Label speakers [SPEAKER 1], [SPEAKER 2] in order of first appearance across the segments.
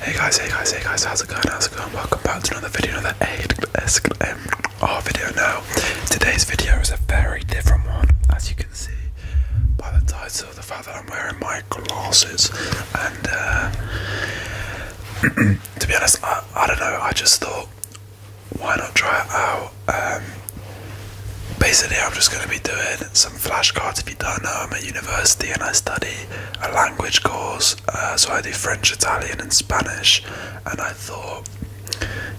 [SPEAKER 1] Hey guys, hey guys, hey guys, how's it going? How's it going? Welcome back to another video, another ASMR um, video now. Today's video is a very different one, as you can see by the title, of the fact that I'm wearing my glasses. And uh, to be honest, I, don't know, I just thought, why not try it out? Um, basically, I'm just going to be doing some flashcards. If you don't know, I'm at university and I study a language course, uh, so I do French, Italian, and Spanish. And I thought,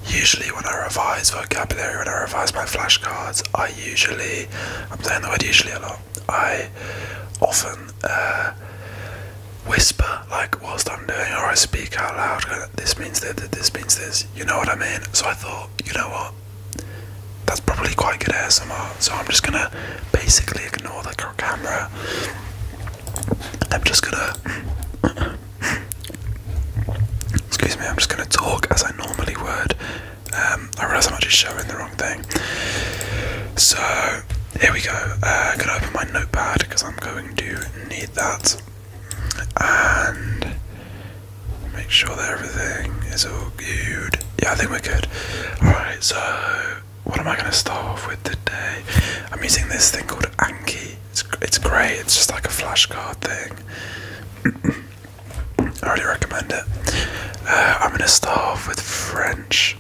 [SPEAKER 1] usually when I revise vocabulary, when I revise my flashcards, I usually, I'm saying the word usually a lot, I often uh, whisper like whilst I'm doing, or I speak out loud. This means that this means this. You know what I mean? So I thought, you know what? that's probably quite good ASMR. So I'm just gonna basically ignore the camera. I'm just gonna. Excuse me, I'm just gonna talk as I normally would. Um, I realize I'm actually showing the wrong thing. So here we go. I'm uh, gonna open my notepad because I'm going to need that. And make sure that everything is all good. Yeah, I think we're good. Alright, so what am I going to start off with today? I'm using this thing called Anki. It's, it's great, it's just like a flashcard thing. I really recommend it. Uh, I'm going to start off with French.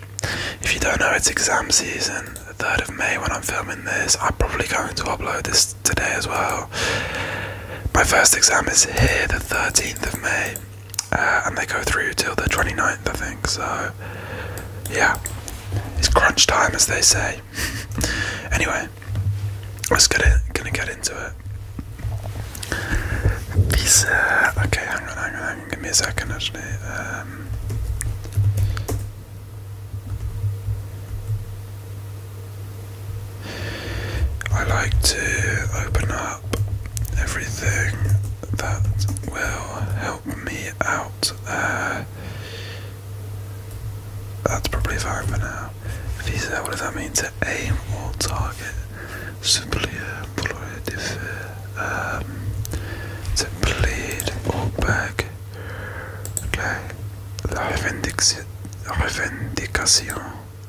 [SPEAKER 1] If you don't know, it's exam season, 3rd of May when I'm filming this. I'm probably going to upload this today as well. My first exam is here, the 13th of May. Uh, and they go
[SPEAKER 2] through till the 29th, I think. So, yeah, it's crunch time, as they say.
[SPEAKER 1] anyway, let's get it. Gonna get into it. Visa. Okay, hang on, hang on, hang on. Give me a second, actually. Um, I like to open up everything that will help me out. Uh, that's probably fine for now. Visa, what does that mean? To aim or target. Simply uh, um, to plead or beg. Okay. La revendication.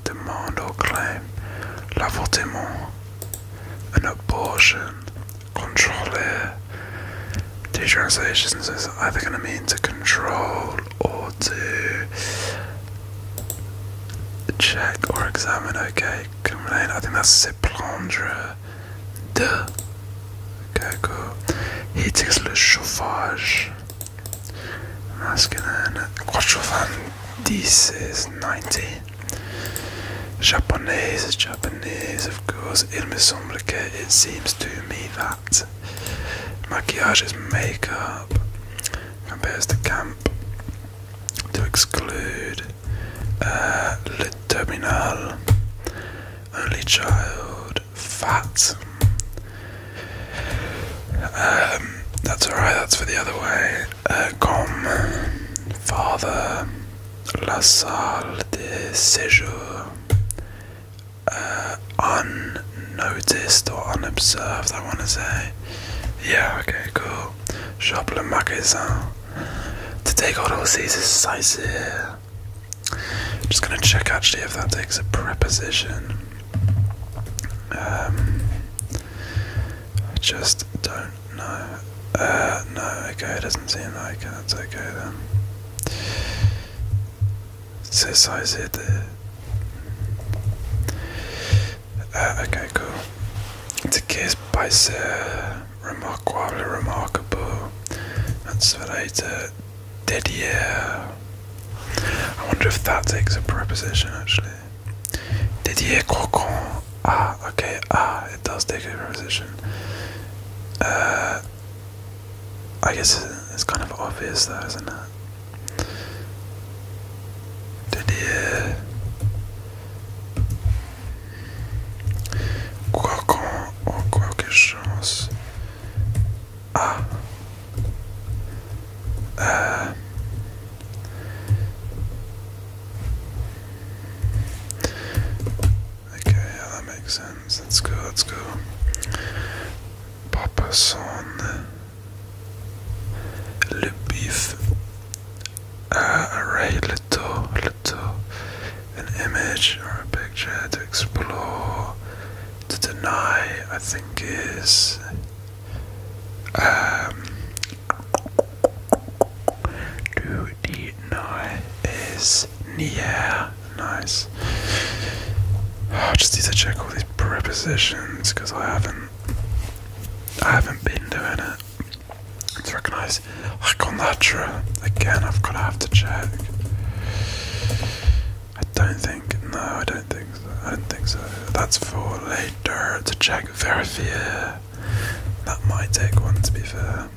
[SPEAKER 1] Demande or claim. L'avortement an abortion, controller. Two translations is
[SPEAKER 2] either going to mean to control or to check or examine. Okay, complain. I think that's se prendre de. Okay, cool. Heating le chauffage. Masculine.
[SPEAKER 1] This is 90. Japanese is Japanese, of course. Il it seems to me that. Maquillage is makeup. Compares to camp. To exclude. Uh, terminal. Only child. Fat. Um, that's alright, that's for the other way euh, comme Father LaSalle de Séjour, euh, unnoticed or
[SPEAKER 2] unobserved, I want to say. Yeah, okay, cool. Shop Magasin to take out all these sizes.
[SPEAKER 1] here. I'm just gonna check actually if that takes a preposition. Um, I just don't no. Uh, no, okay, it doesn't seem like it. That's okay then. So size it there. Uh, okay, cool. It's a case by ser remarquable, remarkable. That's later. Dead yeah. I wonder if that takes a preposition actually. Didier Crocon. Ah, okay. Ah, it does take a position. Uh, I guess it's kind of obvious, though, isn't it? Didier Crocon ou quelque chose. Ah. Uh, Okay, yeah, that makes sense. Let's go, let's go. Papa son. Le beef. Uh, a little, little. An image or a picture to explore. To deny, I think, is. Um, do the is near. Nice. I just need to check all these prepositions because I haven't I haven't been doing it. It's recognised. I us that Hakonatra. Again I've gotta have to check. I don't think no, I don't think so. I don't think so. That's for later to check Verifia. That might take one to be fair.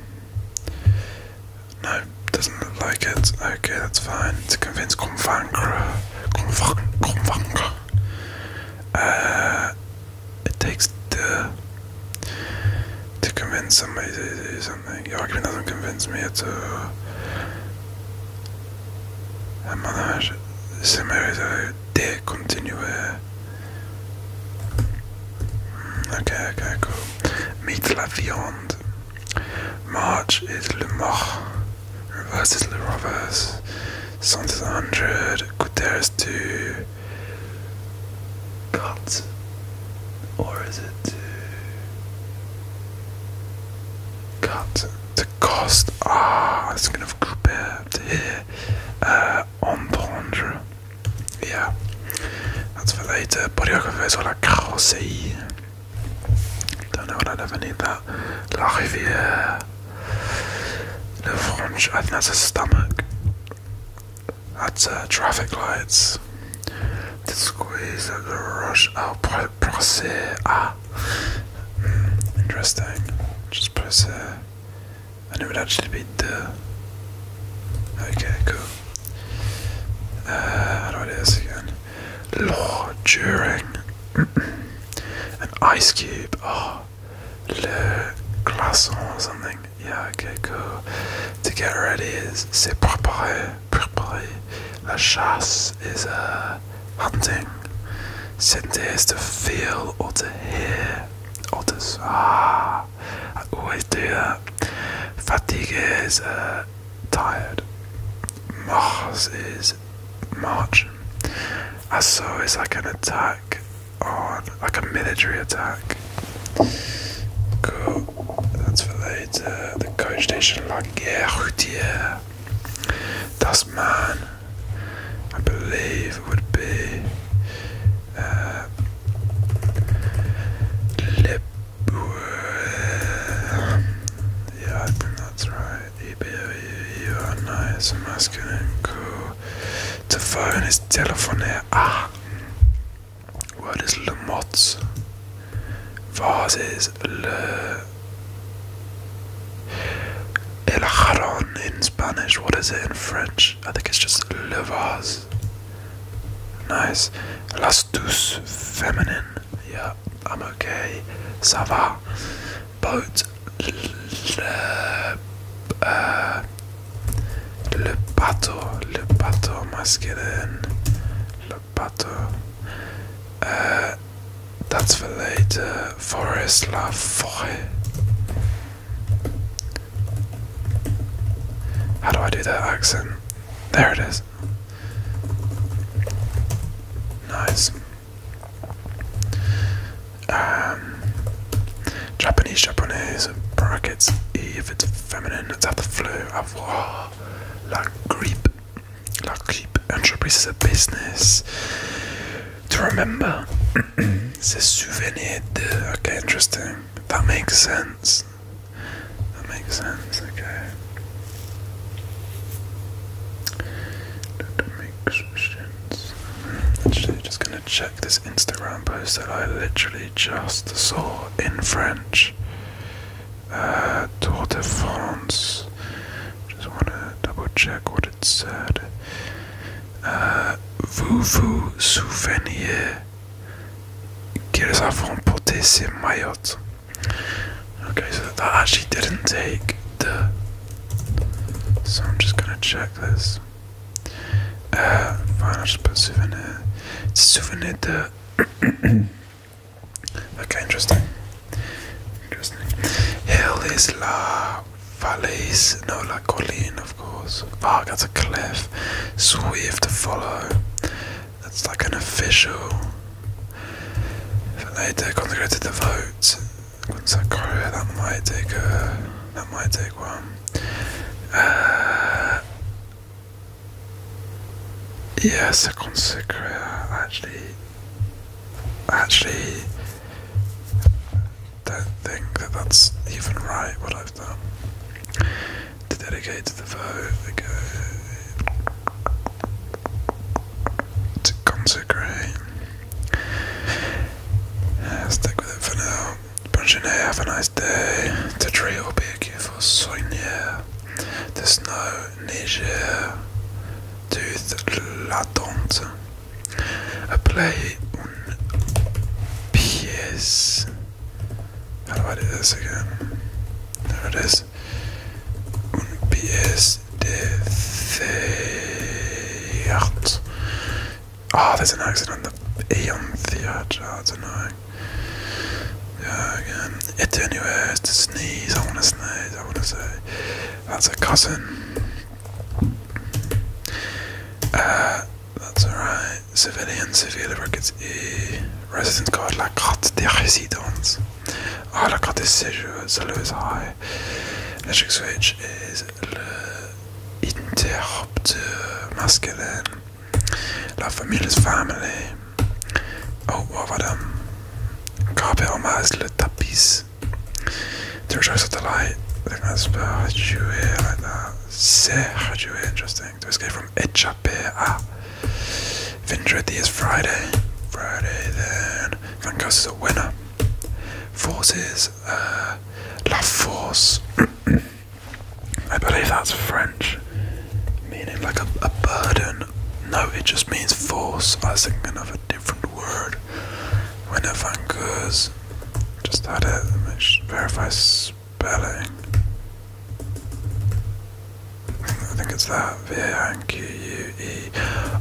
[SPEAKER 1] No, doesn't look like it. Okay, that's fine. To convince Convaincre. Convaincre. Uh, it takes the. To convince somebody to do something. Your argument doesn't convince me at all. And they continue mm, Okay, okay, cool. Meet la viande. March is le mort. Reverse is le reverse. Cent is 100. Couture is Cut. Or is it to cut the cost? Ah, it's gonna group to here. Uh, entendre. Yeah, that's for later. Borioco is what I can Don't know what i ever need that. La Rivière. Le French, I think that's a stomach. That's uh, traffic lights. The squeeze of the rush. Oh, procès. Ah. Mm, interesting. Just procès and it would actually be the. Okay, cool. Uh, how do I do this again? Law during an ice cube. Oh, le glaçon or something. Yeah, okay, cool. To get ready is c'est préparer, préparer. La chasse is uh, hunting. Scent is to feel or to hear. Otters. Ah, I always do that. Fatigue is uh, tired. Mars is march. Asso is like an attack on, like a military attack. Cool. That's for later. The coach station, La Guerre Routière. Das Man, I believe, would be uh, Lip. Yeah, I think that's right. You, are nice masculine cool. The phone is telephone. There. Ah! What is Le Mots? Vase is Le. El Jarón in Spanish. What is it in French? English. I ah, think it's just Levas. Nice. Las douce feminine. Yeah, I'm okay. Ça va. Boat. Le, uh, äh, äh, le bateau. Le bateau masculine. Le bateau. Uh, äh, that's for later. Forest. La forêt. How do I do that accent? There it is. Nice. Um, Japanese, Japanese, brackets, E if it's feminine, it's have the flu, avoir, ah, la grippe, la grippe, entreprise is a business to remember. C'est souvenir de. Okay, interesting. That makes sense. That makes sense, okay. That makes sense. Actually, just gonna check this Instagram post that I literally just saw in French. Uh, Tour de France. Just wanna double check what it said. Euh, vous vous souveniez qu'ils affrontaient ces Mayotte. Okay, so that actually didn't take the. So I'm just gonna check this. Uh, fine, just put souvenir. Souvenir de. okay, interesting. Interesting. Hell is la Valleys, no like Colline, of course. Ah, that's a cliff. So we have to follow. That's like an official. Later, consecrated the vote. Consecrated, that might take a. That might take one. Uh, yes, a consecrated. Actually, actually, don't think that that's even right what I've done. To dedicate the vote, to consecrate. Uh, stick with it for now. Punching have a nice day. To tree will be a for soigner. The snow, neige, tooth, latente. I play on PS. How do I do this again? There it is. On PS Theater. Ah, oh, there's an accident on the Aeon Theater. That's annoying. Yeah, again. It anyway to sneeze. I want to sneeze. I want to say. That's a cousin. Uh, that's alright. Civilian, civil workers, et resident card, la carte des résidences. Ah, carte des séjours, ça le is high. switch is le interrupteur masculine. La famille is family. Oh, what about um, Carpet on le tapis. The choice of delight. I think that's Hajue, like that. Se Hajue, interesting. To escape from Echapea. Ah. Vindredi is Friday. Friday then. Van Gogh is a winner. Force is uh, La Force. I believe that's French. Meaning like a, burden. No, it just means force. I think thinking of a different word. When Van Gogh's just add it and should verify spelling. I think it's that. V A N Q U E.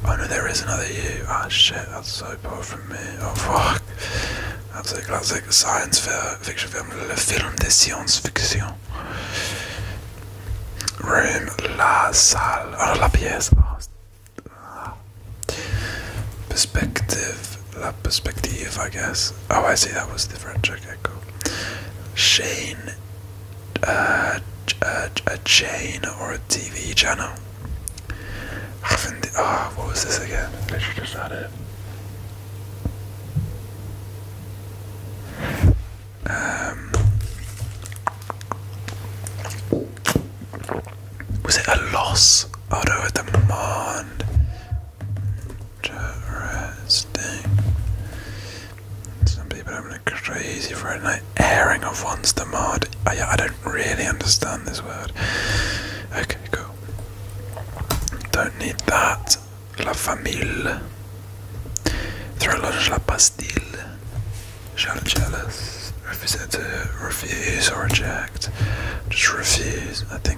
[SPEAKER 1] Oh no, there is another U. Ah shit, that's so poor from me. Oh fuck. That's a classic science fiction film. Le film de science fiction. Room, la salle. Oh, la pièce. Ah, Perspective, la perspective, I guess. Oh, I see, that was the French. Okay, cool. Shane, uh, uh, a, chain or a TV channel. Ah, what was this again? I should just had it. Um, was it a loss? Oh no, a demand. Interesting. Some people are going crazy for a night airing of one's demand. I, don't really understand this word. Okay, cool. Don't need that. La famille. Thrillage la pastille. Shallow jealous. Refuse to refuse or reject.
[SPEAKER 2] Just refuse. I think.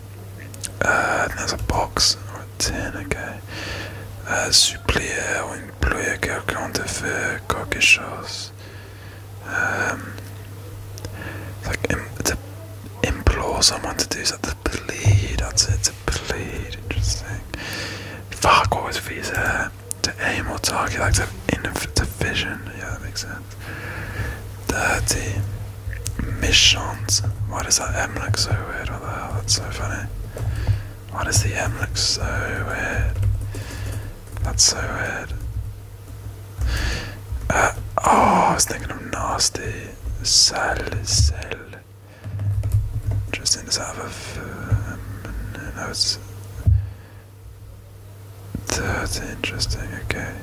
[SPEAKER 1] Uh, there's a box or a tin, okay. Uh, supplier or employer quelqu'un de faire quelque chose. Um, like to implore someone to do something. To plead, that's it. To plead, interesting. Fuck, what was visa? To aim or target, like to, in, the vision. Yeah, that makes sense. Dirty. Michant. Why does that M look so weird? What the hell? That's so funny. Why does the M look so weird? That's so weird. Uh, oh, I was thinking of nasty. Sal, sal. Just in the have a. Um, no, it's. That's interesting. Okay.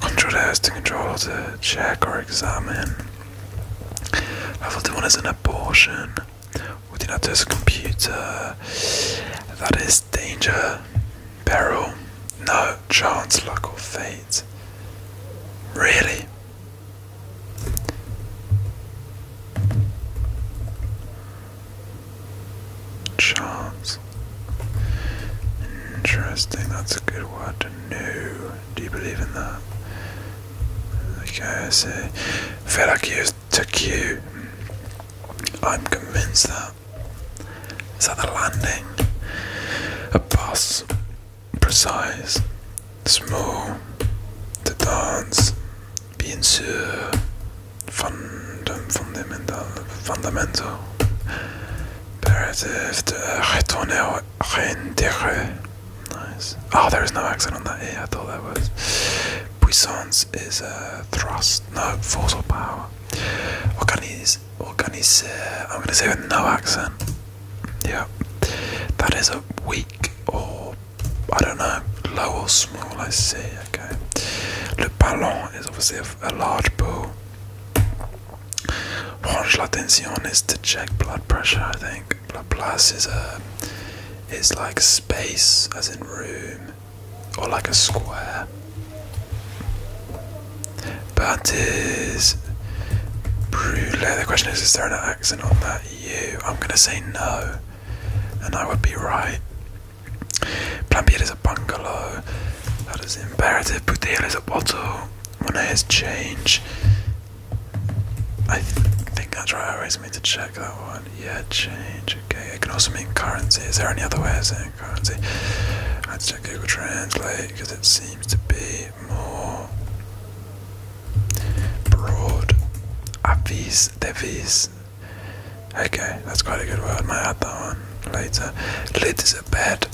[SPEAKER 1] Control S to control to check or examine. I Level 1 is an abortion. Within that there's a computer. That is danger, peril, no chance, luck, or fate. Really? Chance. Interesting, that's a good word. No. Do you believe in that? Okay, I see. Feraki is i I'm convinced that. Is that the landing? A bus. Precise. Small. The dance. Bien sûr. Fundam fundamental. Fundamental. Imperative eh, to retourner reintégré. Nice. Oh, there is no accent on that E, I thought that was. Puissance is uh, thrust. No, force or power. Organize. Organize. Uh, I'm going to say with no accent. Yeah. That is a weak or, I don't know, low or small, I see. Okay. Le ballon is obviously a large ball. Range la tension is to check blood pressure, I think. Laplace is a uh, is like space, as in room, or like a square. But is brûlé? The question is, is there an accent on that U? I'm gonna say no, and I would be right. Plumbier is a bungalow. That is imperative. Bouteille is a bottle when I has change, I think that's right. I always need to check that one. Yeah, change. Okay, it can also mean currency. Is there any other way of saying currency? i us check Google Translate because it seems to be more broad. Avis, devis. Okay, that's quite a good word. My other one later. Lid is a bad.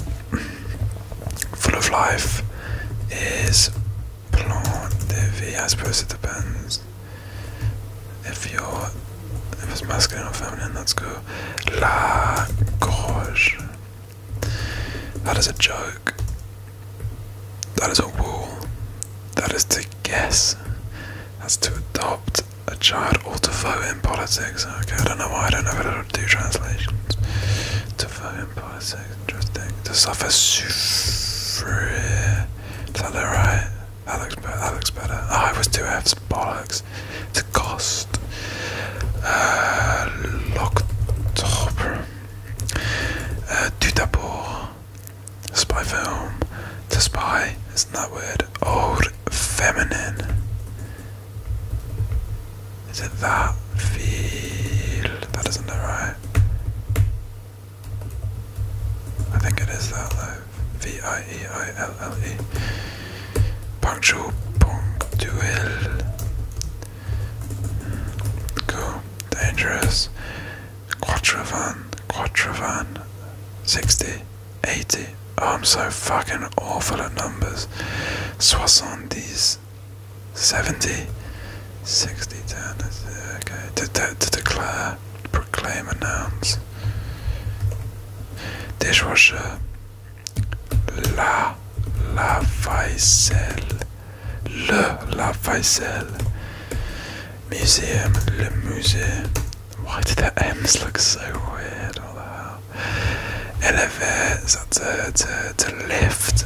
[SPEAKER 1] Full of life is plan de vie. I suppose it depends if you're if it's masculine or feminine. Let's go la gorge. That is a joke. That is a wall. That is to guess. That's to adopt a child or to vote in politics. Okay, I don't know why I don't know it are two translations to fucking poetic. Interesting. To suffer suffre. Is that right? That looks better. That looks better. Oh, it was two F's. Bollocks. To cost. Uh, L'octobre. Uh, tout d'abord. Spy film. To spy. Isn't that weird? Old feminine. Is it that field? That isn't it, right? I think it is that though. V I E I L L E. Punctual punctuel. Hmm. Cool. Dangerous. Quatre vingt. 60. 80. I'm so fucking awful at numbers. Soixante-dix is 70, 60, 10, okay, to, to, to declare, proclaim, announce, dishwasher, la, la vaisselle, le, la vaisselle, museum, le musée, why do the M's look so weird, all the hell? elevate, to, to, to lift,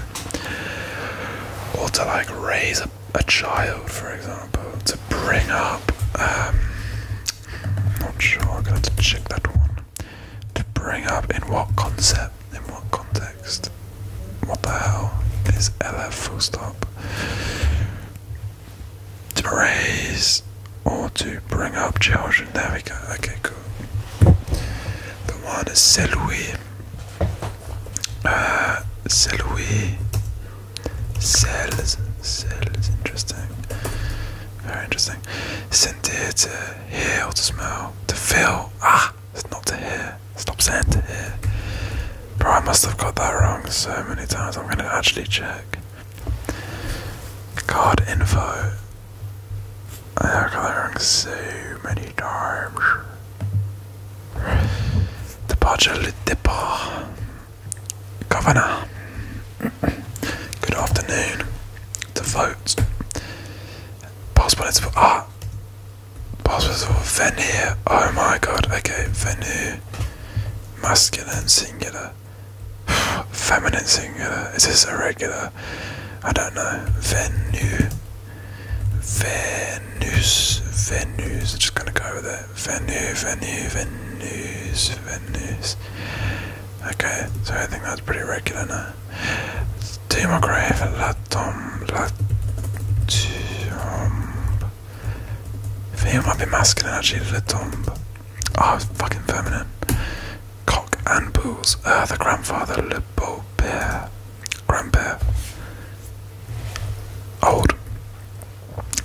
[SPEAKER 1] or to like raise a, child, for example, to bring up. Um, not sure, I'm gonna check that one. To bring up in what concept, in what context? What the hell is LF full stop? To raise or to bring up children. There we go. Okay, Cool go. The one is Selui. Uh, Selui. Cells. Cells. Interesting. Very interesting. Scented to hear or to smell. To feel. Ah! It's not to hear. Stop saying to hear. Bro, I must have got that wrong so many times. I'm going to actually check. Card info. I've got wrong so many times. The budget depot. Governor. Good afternoon. The vote. Passports for ah. Passports for venue. Oh my god. Okay, venue. Masculine singular. Feminine singular. Is this irregular? I don't know. Venus, Venus. Venus. I'm just going to go with it. Venus, Venus, Venus, Venus. Okay, so I think that's pretty regular now. Demograve, la tombe, la tombe. Female might be masculine actually, la tombe. Oh, fucking feminine cock and bulls. Uh, the grandfather, Le Beau Père, grandpère, old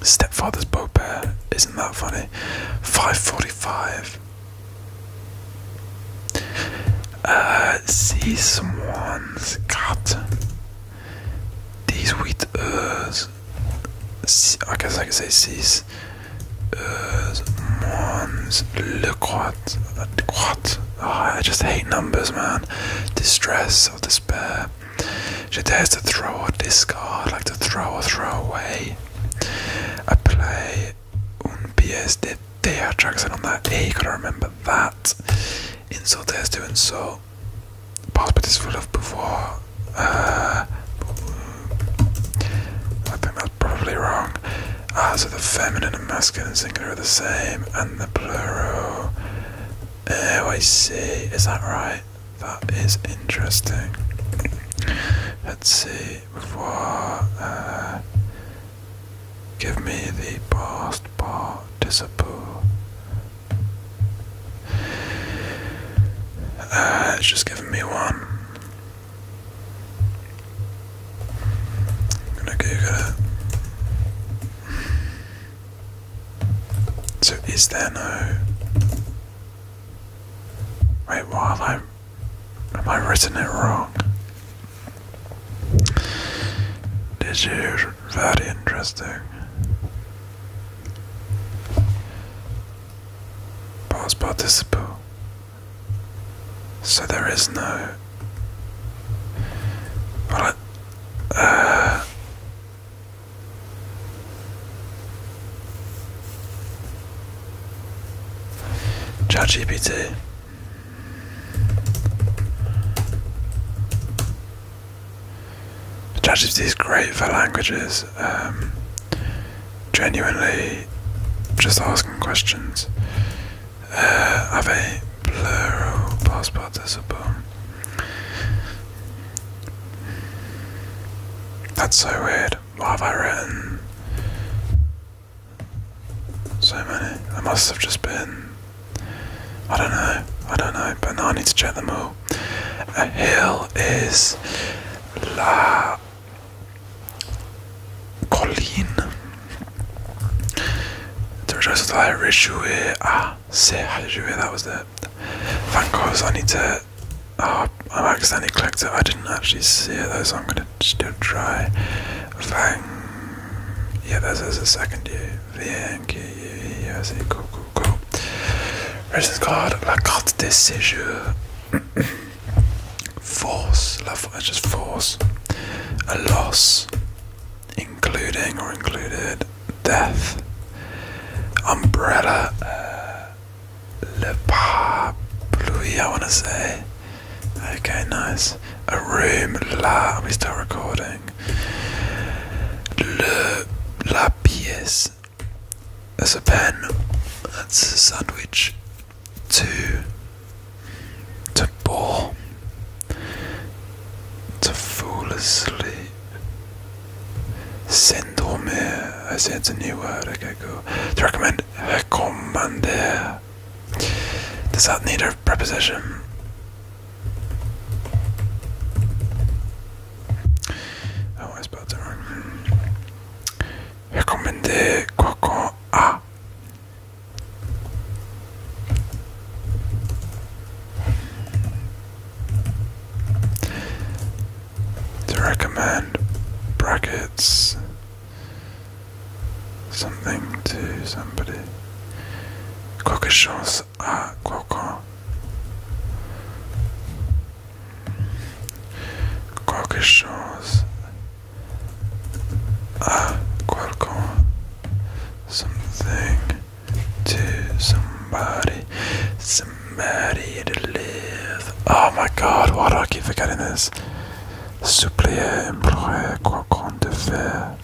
[SPEAKER 1] stepfather's Beau Père. Isn't that funny? 545. Uh, see someone's Got These wheat, uh, I guess I could say sees uh, Lequat, ah, Lequat. I just hate numbers, man. Distress or despair. She dares to throw or discard, like to throw or throw away. I play Un Pies de Te tracks and on that A, gotta remember that. Insult doing so. insult. Passport is full of before. Uh, I think that's probably wrong. Ah, so the feminine and masculine singular are the same, and the plural. Oh, I see. Is that right? That is interesting. Let's see. Before, uh, give me the past participle. Uh, it's just giving me one. So is there no Wait, While I have I written it wrong? This is very interesting. Past participle. So there is no. Well, uh, ChatGPT. ChatGPT is great for languages. Um, genuinely, just asking questions have a plural past participle. That's so weird. Why have I written so many? I must have just been. I don't know. I don't know. But now I need to check them all. A hill is la Colleen. The rejoice of the Rishue. Ah, se that was it. Thank God, I need to. Oh, uh, I accidentally clicked it. I didn't actually see it though, so I'm gonna still try. Vang. Yeah, there's, there's the second I see. Cool, cool, cool. is called La Carte des Séjours. force, love is uh, just force, a loss, including or included death, umbrella, uh, le parapluie, I want to say. Okay, nice. A room, la, are we still recording? Le, la pièce. That's a pen. That's a sandwich to to bore, to foolishly s'endormir. I said it's a new word. Okay, cool. To recommend, recommander. Does that need a preposition? Oh, I spelled it wrong. Recommender quelqu'un à to recommend brackets something to somebody. Quelque chose à quelqu'un a Qualcomm something to somebody, somebody to live. Oh my god, why do I keep forgetting this? Supplier, employer, Qualcomm de faire.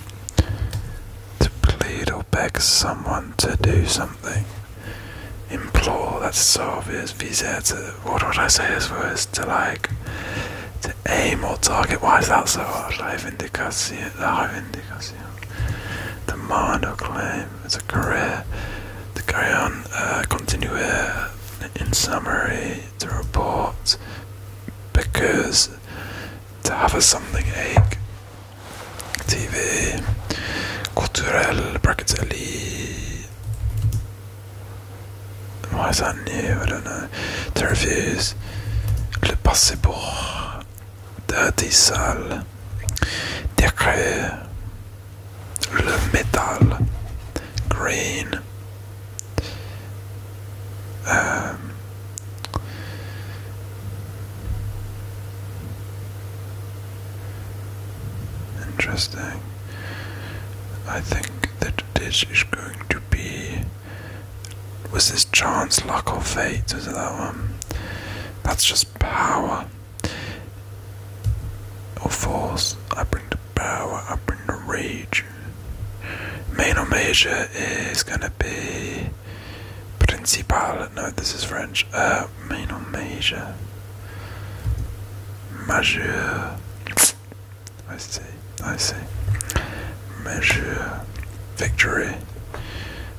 [SPEAKER 1] To plead or beg someone to do something. Implore, that's so obvious. Visa to, what would I say as words? To like, to aim or target. Why is that so hard? Reivindicación. Reivindicación. Demand or claim. It's a career. To carry on. Uh, continue. In summary. To report. Because. To have a something ache. TV. Cultural. Brackets. Why that new? I don't know. Terrafuse. Le passé pour Dirty Sale. métal. Green. Euh, interesting. I think that this is going to be. Was this chance, luck, or fate? Is it that one? That's just power. Or force. I bring the power, I bring the rage. Main major is gonna be. Principal. No, this is French. Uh, major. Major. I see, I see. Measure victory.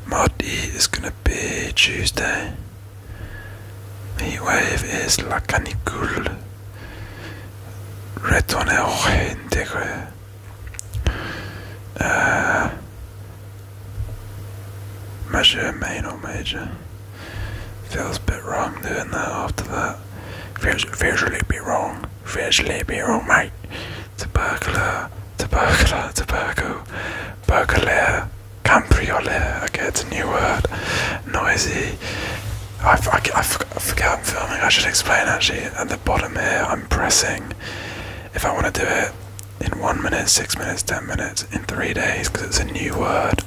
[SPEAKER 1] Mod is gonna be Tuesday. Heatwave is La Canicule. Retourner au réintégré. Uh, measure main or major. Feels a bit wrong doing that after that. Feels, feels really a bit wrong. Fresh Libero, mate. Tubercular, tubercular, tubercle, burglar, cambriole. I get a new word. Noisy. I, I, I forget I'm filming. I should explain actually. At the bottom here, I'm pressing. If I want to do it in one minute, six minutes, ten minutes, in three days, because it's a new word.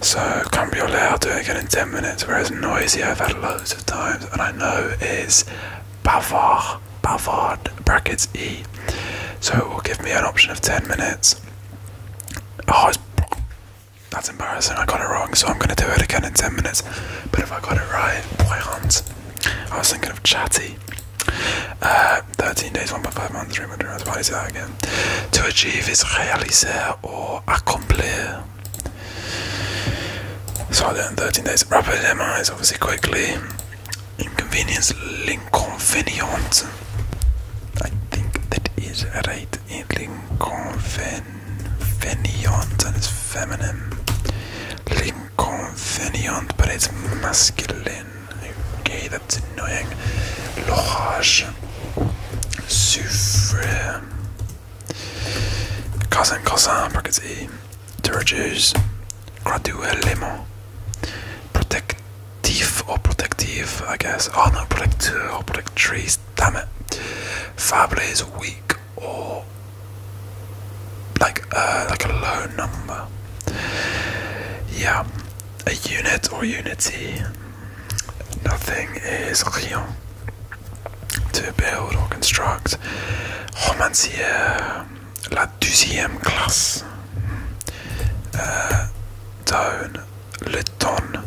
[SPEAKER 1] So Cambriolet, I'll do it again in 10 minutes, whereas Noisy I've had loads of times and I know is Bavard, Bavard, brackets E. So it will give me an option of 10 minutes. Oh, that's embarrassing, I got it wrong, so I'm going to do it again in 10 minutes. But if I got it right, Poirant. I was thinking of Chatty. Uh, 13 days, one by five months, 300 hours, why is that again? To achieve is realiser or accomplir. So I learned 13 days. Rapid demise, obviously, quickly. Inconvenience, l'inconvénient. I think that is right. L'inconvénient, and it's feminine. L'inconvénient, but it's masculine. Okay, that's annoying. L'orage. Souffre. Cousin, cousin, brackets E. To reduce
[SPEAKER 2] graduellement. Protective or protective, I guess. Oh no, protecteur or protectrice,
[SPEAKER 1] damn it. Fable is weak or like uh, like a low number. Yeah, a unit or unity. Nothing is real to build or construct. Romancière, la deuxième classe. Uh, le ton,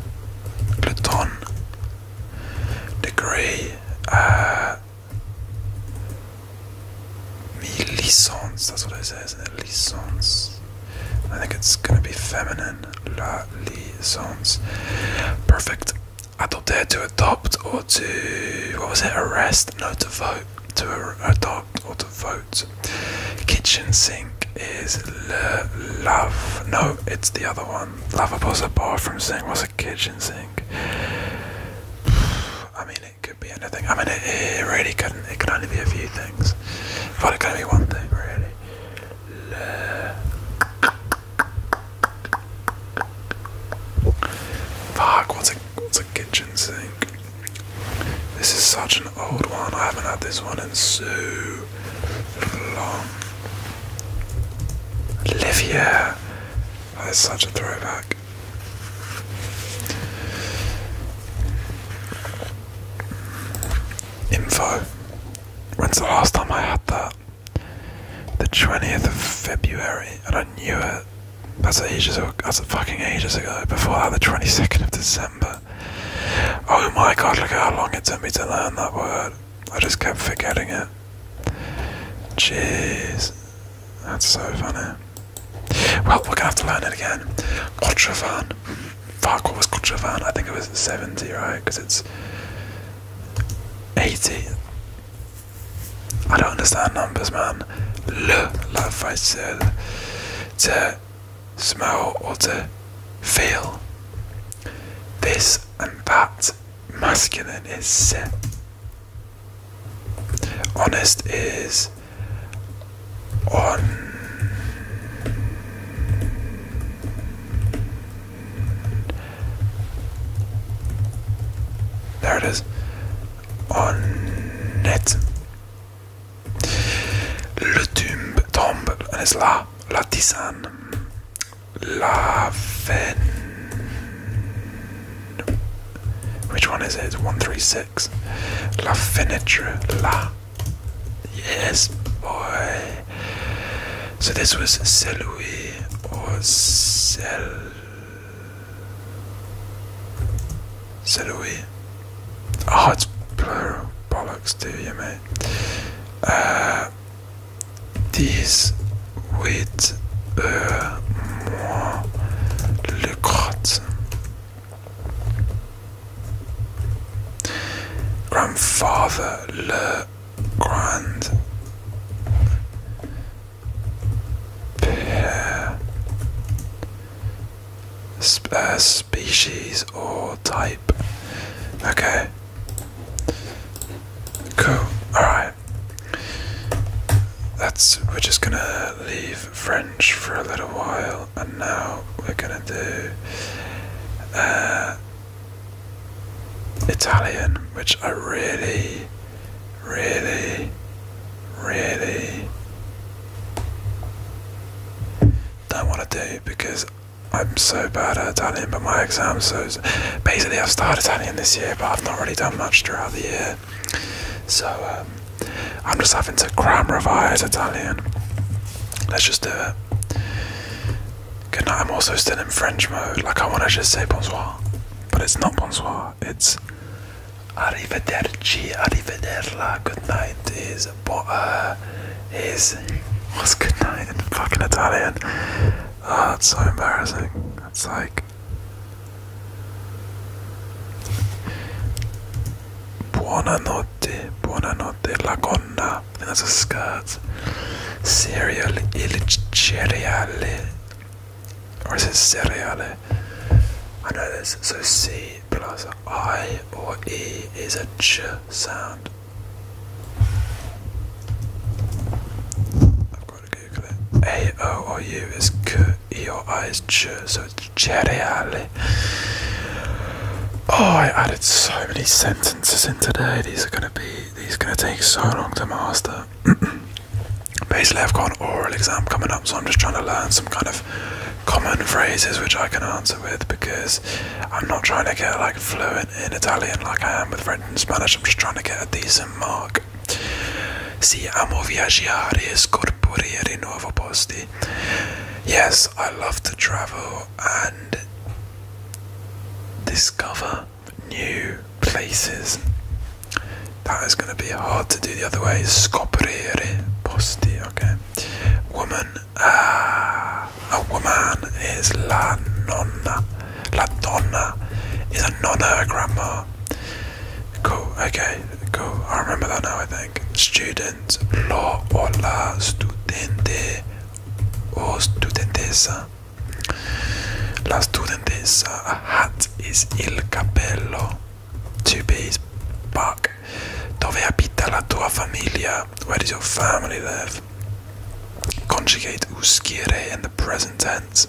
[SPEAKER 1] le ton. Degree, uh, licence, that's what it says, is Licence. I think it's going to be feminine, la licence. Perfect. I don't dare to adopt or to what was it? Arrest? No, to vote. To adopt or to vote. Kitchen sink is love. No, it's the other one. Lavable's a from sink. What's a kitchen sink? I mean, it could be anything. I mean, it, really couldn't. It could only be a few things. But it could only be one thing, really. Fuck, what's a, what's a kitchen sink? This is such an old one. I haven't had this one in so long. Olivia! That is such a throwback. Info. When's the last time I had that? The 20th of February, and I knew it. That's ages. ago. That's fucking ages ago. Before that, the 22nd of December. Oh my god! Look how long it took me to learn that word. I just kept forgetting it. Jeez, that's so funny. Well, we're gonna have to learn it again. Kotravan. Fuck, what was Kotravan? I think it was 70, right? Because it's 80. I don't understand numbers, man. Le, love I said, to smell or to feel. This and that masculine is se. Honest is on. There it is. On net. Le tombe tombe
[SPEAKER 2] and it's la la tisane. La fin.
[SPEAKER 1] Which one is it? It's 136. La finiture, La. Yes, boy. So this was celui or Sel Selui. Oh, it's plural. Bollocks, do you, mate? This with uh, moi le crotte. Grandfather, le Grand Pair uh, species or type. Okay. Cool. Alright. That's we're just gonna leave French for a little while and now we're gonna do uh, Italian, which I really, really, really don't want to do because I'm so bad at Italian, but my exams so basically I've started Italian this year, but I've not really done much throughout the year. So um, I'm just having to cram revise Italian. Let's just do it. Good night. I'm also still in French mode. Like I want to just say bonsoir, but it's not bonsoir. It's arrivederci, arrivederla. Good night is bo uh, is what's good night in fucking Italian? Oh, ah, that's so embarrassing. It's like buonanotte, buonanotte, la going that's a scuds. Cereal cereale. Or is it cereale? I know this. So C plus I or E is a ch sound. I've got to Google it. A O or U is k, E or I is ch, so it's cereale. Oh, I added so many sentences in today. These are going to be these are going to take so long to master. Basically, I've got an oral exam coming up, so I'm just trying to learn some kind of common phrases which I can answer with because I'm not trying to get like fluent in Italian like I am with French and Spanish. I'm just trying to get a decent mark. Si amo viaggiare e scorporire posti. Yes, I love to travel and discover new places. That is going to be hard to do the other way. Scoprire posti, okay. Woman, ah, a woman is la nonna. La donna is a nonna, grandma. Cool, okay, cool. I remember that now, I think. Student, lo o la studente o studentessa. La studentessa hat is il cappello. Two bees. Buck. Dove abita la tua famiglia? Where does your family live? Conjugate uscire in the present tense.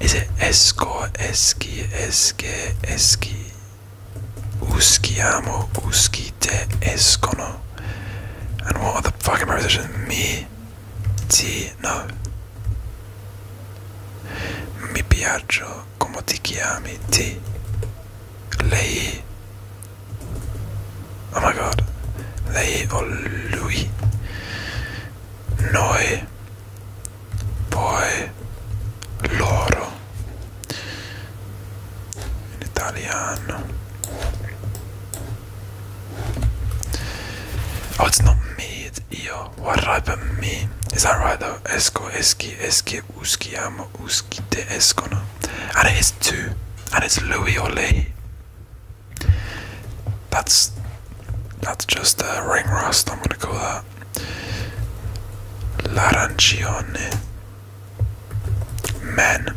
[SPEAKER 1] Is it esco, esci, esche, esci? Usciamo, uscite, escono. And what are the fucking prepositions? Me, Sì, no. Mi piaccio come ti chiami, ti. Lei. Oh my god. Lei o lui. Noi. Poi. Loro. In italiano.
[SPEAKER 2] Oh, it's not me, it's io. What put me? Is that right though? Esco, eschi,
[SPEAKER 1] esche, uschiamo, uschi, te escono. And it is two. And it's Louis or Lee. That's that's just a ring rust, I'm gonna call that. L'arancione. Men.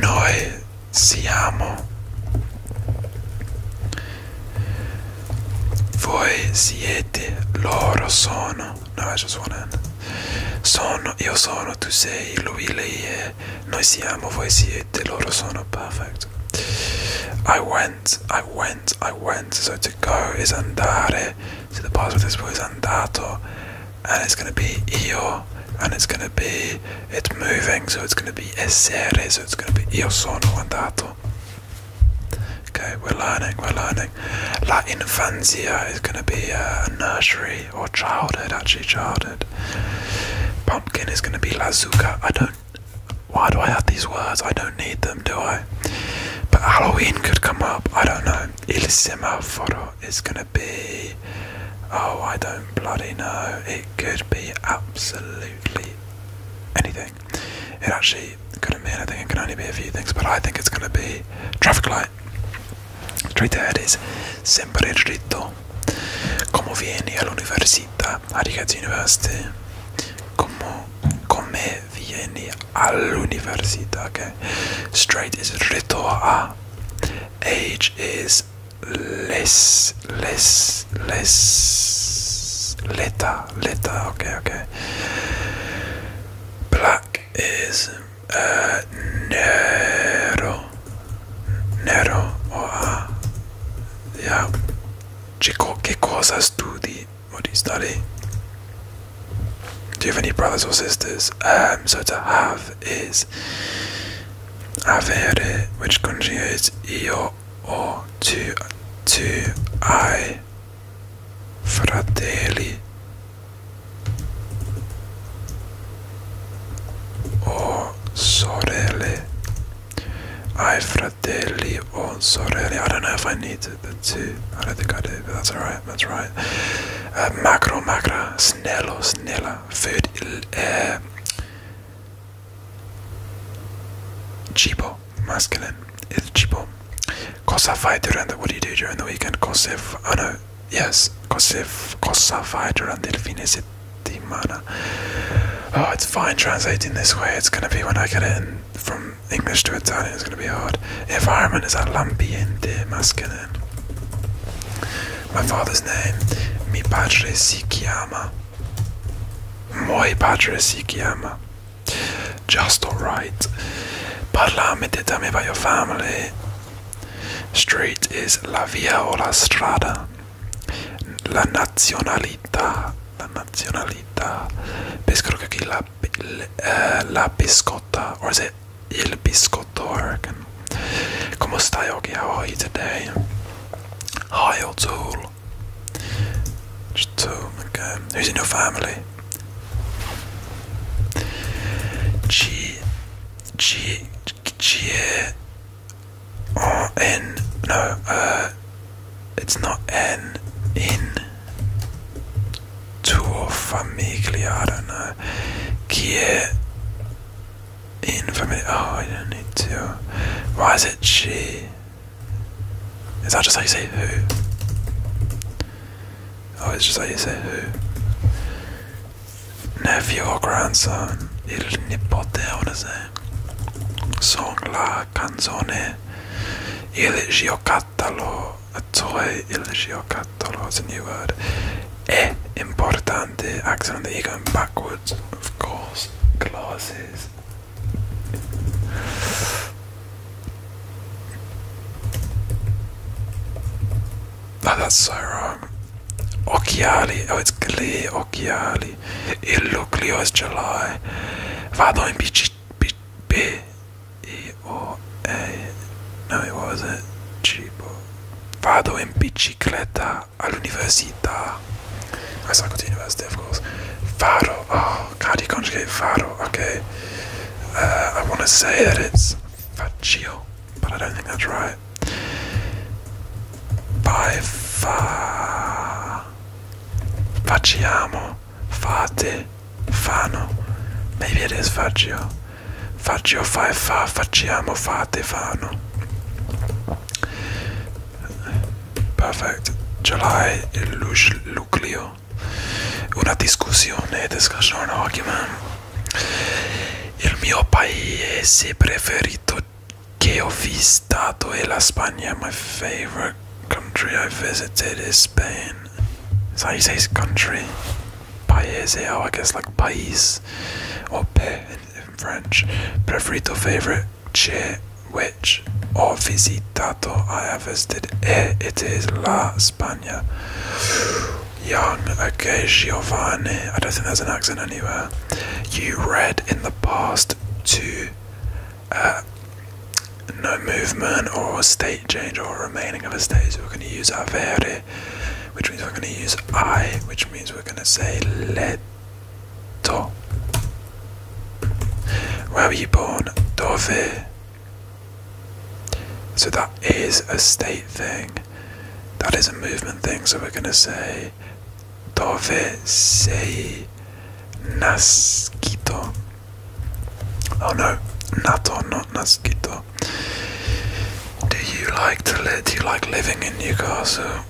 [SPEAKER 1] Noi siamo. Voi siete, loro sono. No, sto suonando. Sono, io sono, tu sei, lui, lei è. Noi siamo, voi siete, loro sono. Perfetto. I went, I went, I went. So to go is andare. Se the past participle is andato. and it's going to be io, and it's going to be it's moving, so it's going to be essere, so it's going to be io sono andato. Okay, we're learning, we're learning. La infanzia is going to be a nursery or childhood, actually childhood. Pumpkin is going to be la zucca. I don't. Why do I have these words? I don't need them, do I? But Halloween could come up. I don't know. Il semaforo it's going to be. Oh, I don't bloody know. It could be absolutely anything. It actually couldn't be anything, it can only be a few things, but I think it's going to be traffic light. Straight ahead is sempre dritto. Como vieni all'università? How do you get to university? Como, come vieni all'università, ok? Straight is retto a. Age is less, less, less. L'età, l'età, ok, ok. Black is uh, nero, nero o oh, a. Ah. Yeah. Che cosa studi? What do you study? Do you have any brothers or sisters? Um, so to have is avere, which conjugates io or to to I fratelli or sorelle. I fratelli or sorelle. I don't know if I need to two. I don't think I do, but that's alright, that's right. Macro, uh, macro, macra, snello, snella, food, uh, cibo, masculine, is cibo. Cosa fai durante, what do you do during the weekend? Cosa, oh no, yes, cosa, cosa fai durante il fine settimana? Oh, it's fine translating this way, it's gonna be when I get it in, from English to Italian, it's gonna be hard. Environment is lumpy ambiente masculine. name. My father's name. Mi padre si chiama. Moi padre si chiama. Just alright. Parlame de tame by your family. Street is la via o la strada. La nazionalità. La nazionalità. Pescrocachi la, eh, la, uh, la biscotta. Or is it Il Biscottorg. Como stai oggi? How are you today? Hi, O'Toole. Just two, okay. Um, who's in your family? G. No, uh, It's not N. In tuo famiglia, I don't know. Chi family? Oh, I don't need to. Why is it she? Is that just how you say who? Oh, it's just how you say who. Nephew or grandson. Il nipote, I wanna say. Song la canzone. Il giocattolo. catálogo, soy eligió catálogo, it's a new word. E importante, accent on the E backwards, of course, glasses. Oh, that's so wrong. Occhiali, oh, it's Glee, Occhiali. Il luglio is July. Vado in bicicletta. E o E no it wasn't cibo Vado in bicicletta all'università I cycle to university of course Vado oh how do you conjugate vado okay uh, I wanna say that it's faccio but I don't think that's right Vai fa facciamo fate fano maybe it is faccio Faccio fa e fa, facciamo, fate, fanno. Perfetto, ce l'hai il nucleo. Una discussione, discussione argument. Il mio paese preferito che ho visitato è la Spagna. My favorite country I visited is Spain. Say his country. Paese, oh, I guess like pais or pe in, French. Preferito, favorite. C'è, which. Ho visitato, I have visited. E, it is La Spagna. Young, okay, Giovanni. I don't think there's an accent anywhere. You read in the past to uh, no movement or
[SPEAKER 2] state change or remaining of a state, so we're going to use avere which means we're going to use I, which means we're going
[SPEAKER 1] to say Leto. Where were you born? Dove. So that is a state thing. That is a movement thing. So we're going to say Dove sei nascito. Oh no, nato, not nascito. Do you like to live? Do you like living in Newcastle?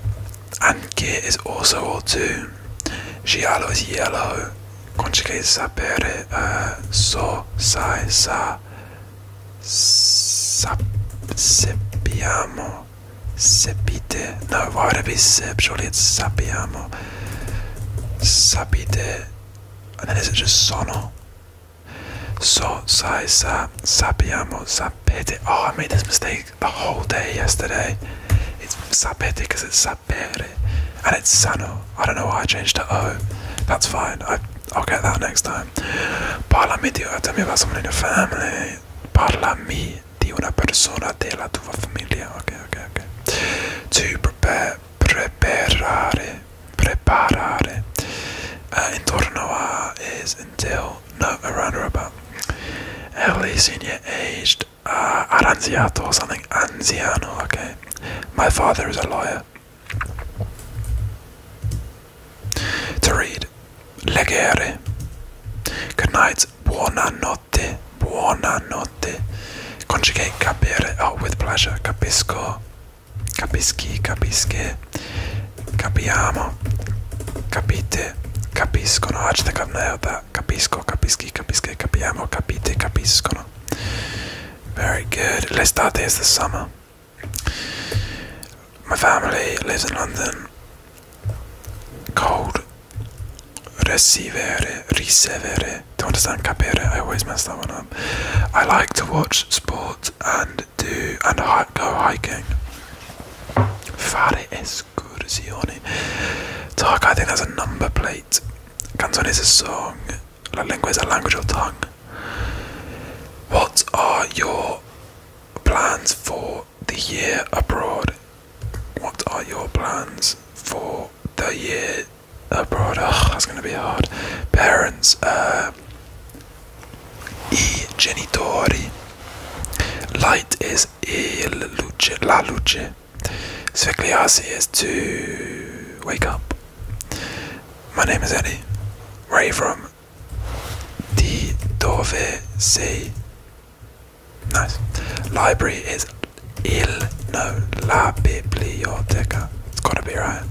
[SPEAKER 1] Anche is also or too. Giallo is yellow. Conjugated sapere uh, so sai sa sap seppiamo sepite. No, why would it be sip? Surely it's sappiamo. Sapite. And then is it just sono? So Saisa Sappiamo Sapete. Oh, I made this mistake the whole day yesterday. It's Sapete because it's Sapere. And it's Sano. I don't know why I changed to O. That's fine. I, will get that next time. Parlami di. Oh, tell me about someone in your family. Parlami di una persona della tua famiglia. Okay, okay, okay. To prepare preparare, preparare, uh, intorno a is until, no, around about, early senior aged, uh, or something, anziano, okay, my father is a lawyer. To read, leggere, good night, Buona notte. Buona notte. conjugate capire, oh, with pleasure, capisco. Capisci, capische, capiamo, capite, capiscono. Hashtag ah, merda. Capisco, capisci, capische, capiamo, capite, capiscono. Very good. L'estate is the summer. My family lives in London. Cold. Ricevere, ricevere. Don't understand capere. I always mess that one up. I like to watch sport and do and go hiking. Fare escursioni. Talk. I think that's a number plate. Canzone is a song. La lingua is a language or tongue. What are your plans for the year abroad? What are your plans for the year abroad? Oh, that's going to be hard. Parents, uh, i genitori. Light is il luce, la luce. Svegliarsi is to wake up. My name is Eddie. Where are you from? The dove C. Nice. Library is il no la biblioteca. It's gotta be right.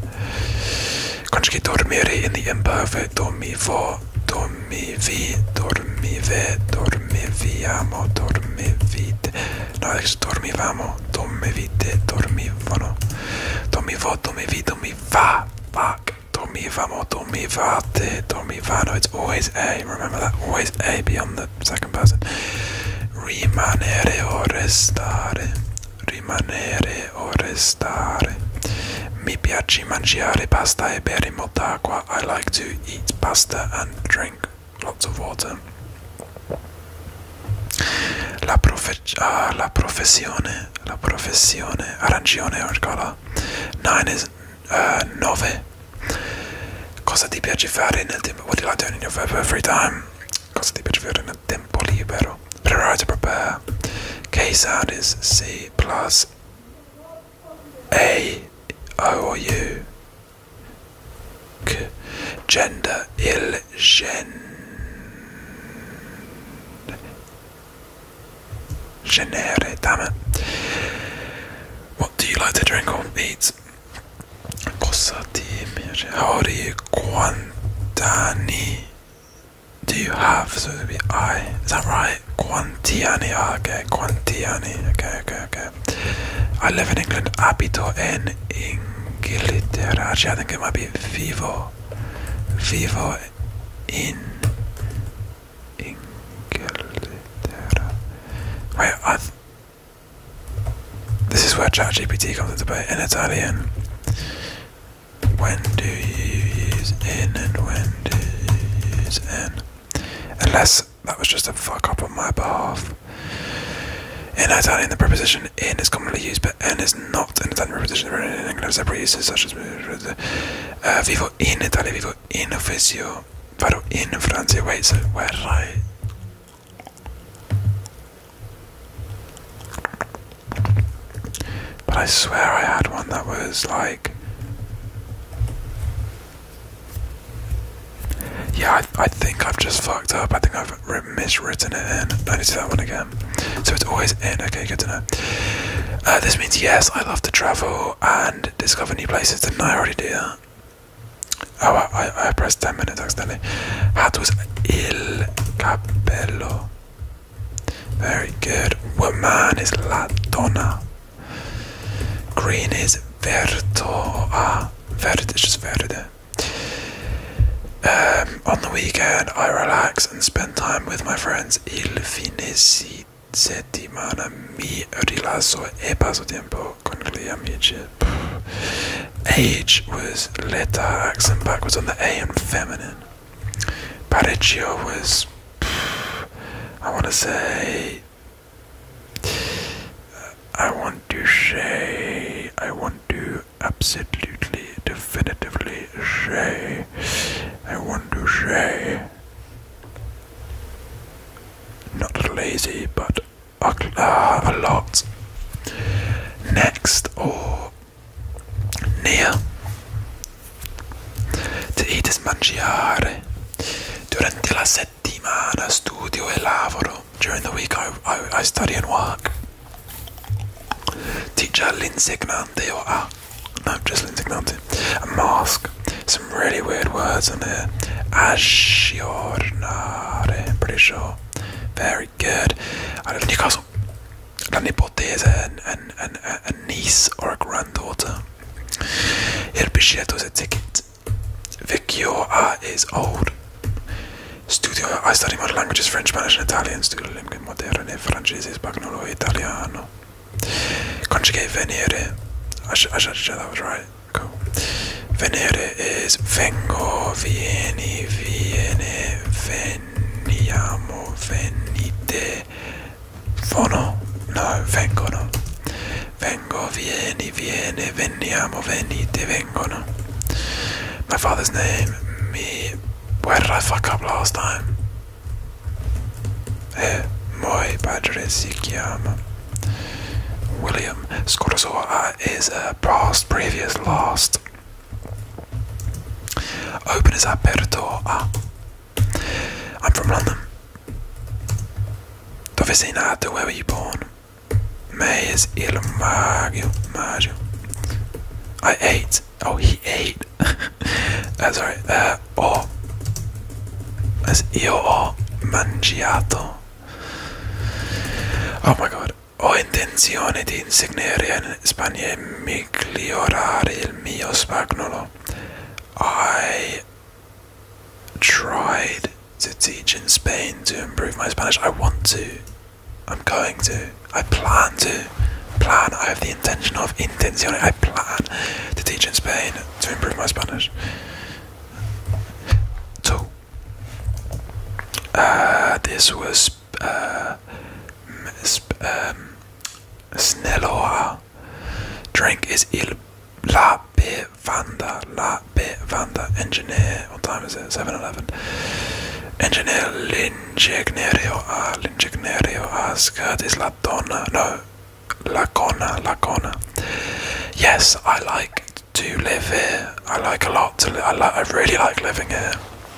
[SPEAKER 1] Conjugate dormire in the imperfect. Dormivo, dormivi, dormive, dormiviamo, dormivite. No, adesso dormivamo, dormivite, dormivano. Dormivo, dormivi, dormiva, fuck. Dormivamo, dormivate, dormivano. It's always A, remember that? Always A beyond the second person. Rimanere o restare. rimanere o restare. Mi piace mangiare pasta e bere molta acqua. I like to eat pasta and drink lots of water. La, profe ah, la professione, la professione, arancione or color. Nine is uh, nove. Cosa ti piace fare nel tempo? What do you like doing in your free time? Cosa ti piace fare nel tempo libero. Prepare to prepare. K sound is C plus A O Gender il gen. Genere, damn What do you like to drink or eat? Cosa ti piace? How old are you? Quantani? do you have? So it would be I. Is that right? Quantiani. Ah, okay. Quantiani. Okay, okay, okay. I live in England. Abito en Ingilterra. Actually, I think it might be vivo. Vivo in Ingilterra. Wait, I. this is where ChatGPT comes into play in Italian. When do you use in and when do you use in? Unless that was just a fuck up on my behalf. In Italian, the preposition in is commonly used, but n is not In Italian preposition. In England, several uses such as uh, vivo in Italy, vivo in officio, vado in Francia. Wait, so we're right. But I swear I had one that was like. Yeah, I, think I've just fucked up. I think I've miswritten it in. I need do that one again. So it's always in. Okay, good to know. Uh, this means yes, I love to travel and discover new places. Didn't I already do that? Oh, I, I, pressed 10 minutes accidentally. Hat was il capello. Very good. Woman is la donna. Green is Vertoa. Ah, Verde is just um, on the weekend, I relax and spend time with my friends. Il fine settimana mi rilasso e passo tempo con gli amici. Age was letter accent backwards on the A and feminine. Parecchio was, I want to say, I want to say, I want to absolutely, definitively say, I want to say, not lazy, but a, a lot. Next, or Nähe. Ti itis mangiare. Durante la settimana studio e lavoro. During the week I, I, study and work. Teacher l'insegnante or ah, no, just l'insegnante. A mask. Some really weird words on here. Aggiornare, pretty sure. Very good. I don't think I child, l'anipote an, an, an, a niece or a granddaughter. Il biglietto is a ticket. Vecchio A is old. Studio, I study modern languages, French, Spanish, and Italian. Studio lingue moderne, francese, spagnolo, italiano. Conjugate venere. I should, I said, that was right. Cool. Venere is vengo, vieni, viene, veniamo, venite, fono, no, vengono, vengo, vieni, viene, veniamo, venite, vengono. My father's name, me, where did I fuck up last time? Eh, my padre si chiama. William Scortazor is uh, past, previous, last. Open is aperto i ah. I'm from London. Dove sei nato? Where were you born? May is il maggio. Maggio. I ate. Oh, he ate. uh, sorry. oh. As io mangiato. Oh my god. Ho intenzione di insegnare Spagna migliorare il mio spagnolo. I tried to teach in Spain to improve my Spanish. I want to. I'm going to. I plan to. Plan. I have the intention of intenzione. I plan to teach in Spain to improve my Spanish. So, uh, this was sp uh, um, snelloa. Drink is il la bevanda, la bevanda. Engineer, what time is it? Seven eleven. Engineer l'ingegnerio a, l'ingegnerio a, is la donna, no, la cona, Yes, I like to live here. I like a lot I, li I really like living here.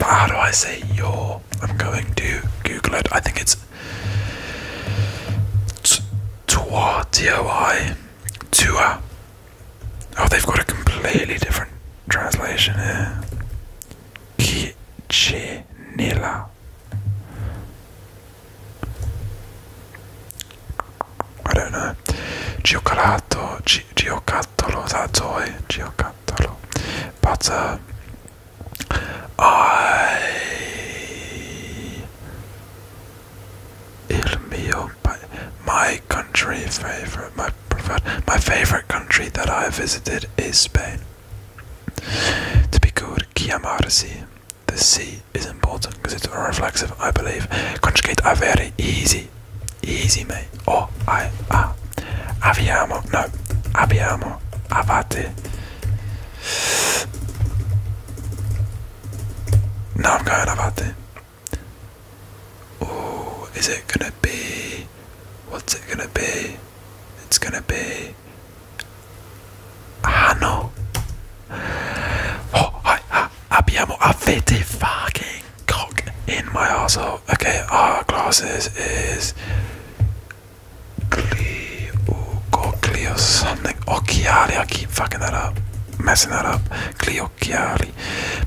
[SPEAKER 1] how do I say your? I'm going to Google it. I think it's toi, d o i tua. Oh, they've got a completely different translation here. Kichinilla. I don't know. Giocato, gi, Giocattolo, that's all. Eh, Giocattolo. But uh, I. Il mio. My country favorite. My My favorite country that I visited is Spain. To be good, chiamarsi. The C is important because it's reflexive, I believe. Conjugate are very easy. Easy, mate. Oh, I, ah. Aviamo? no. Abbiamo, abate. Now I'm going abate. Oh, is it gonna be? What's it gonna be? It's gonna be. Ah no. Oh, I, I, abbiamo avete fucking cock in my asshole okay, our glasses is Glio Cleo, something. Occhiali, I keep fucking that up, messing that up. Cleo Occhiali.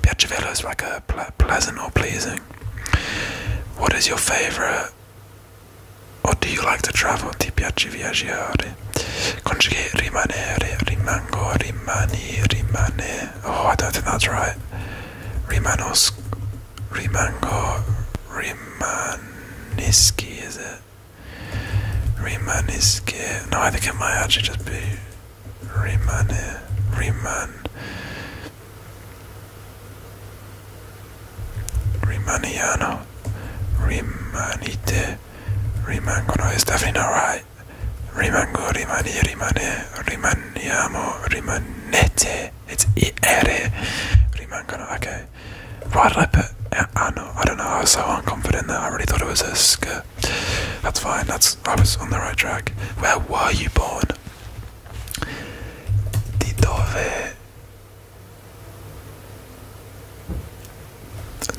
[SPEAKER 1] Piacevello is like a ple pleasant or pleasing. What is your favourite? Or do you like to travel? Ti piace viaggiare? Conjugate rimanere, rimango, rimani, rimane. Oh, I don't think that's right. Rimanos, Rimango, Rimaniski, is it? Rimaniski. No, I think it might actually just be Rimane, Riman. Rimaniano, Rimanite, Rimango. No, it's definitely not right. Rimango, Rimani, Rimane, Riman rimaniamo, rimanete. It's ere. Rimangono. Okay. Why did I put uh, ano? I don't know. I was so unconfident that I really thought it was a sk. That's fine. That's I was on the right track. Where were you born? Di dove?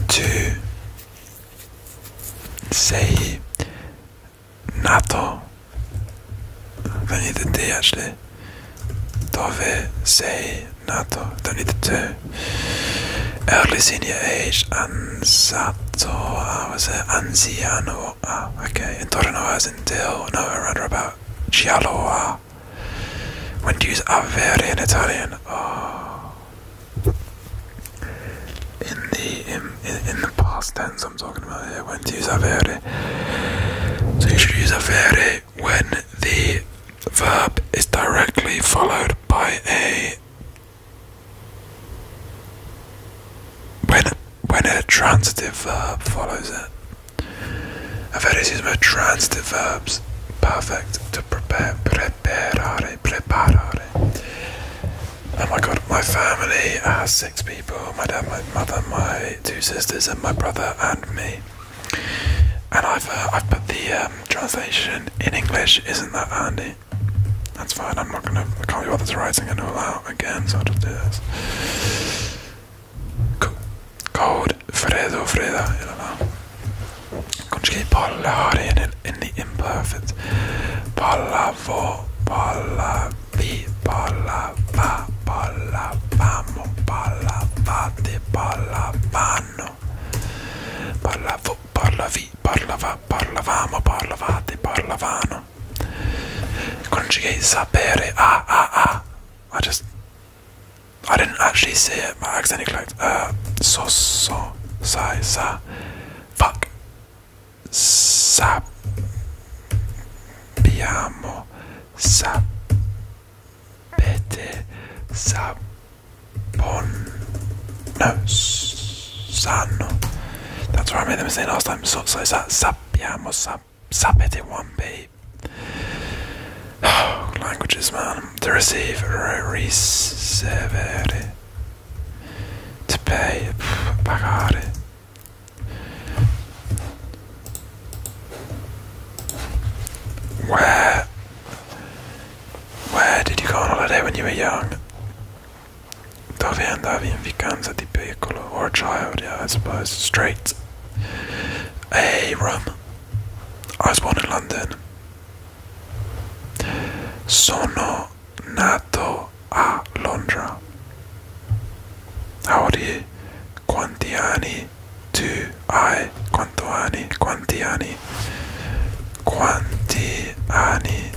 [SPEAKER 1] Tu sei NATO don't need the D actually Dove say NATO don't need the two early senior er age and Ansato I ah, was it er Anziano oh, ah okay was in until oh, no rather about Gialloa ah. when do you avere in Italian oh in the in, the past tense I'm talking about here, when to use So you should use avere when the verb is directly followed by a when when a transitive verb follows it. i Avere is used with transitive verbs. Perfect to prepare, preparare, preparare. Oh my god, my family has six people my dad, my mother, my two sisters, and my brother, and me. And I've, uh, I've put the um, translation in English, isn't that handy? That's fine, I'm not gonna, I can't be bothered to writing it all out again, so I'll just do this. Code Fredo, Freda, Conjugate parlar in, in the imperfect. Palavo, palavo palava, palavamo, palavate, palavano. Parlavo, parlavi, parlava, parlavamo, parlavate, parlavano. Conjugate sapere, ah, ah, ah. I just, I didn't actually say it, my accent is like, uh, so, so, sai,
[SPEAKER 2] sa, fuck sappiamo,
[SPEAKER 1] sapete, sapon, no, sanno. That's what I made them say last time. So, so sappiamo, sap, sapete one B. languages, man. To receive, receive, to pay, pagare. Where Where did you go on day when you were young? Dove andavi in vacanza di piccolo or a child, yeah, I suppose. Straight. Hey, I was born in London. Sono nato a Londra. Audi quanti anni tu hai? quanti anni? Quanti anni? Quanti anni?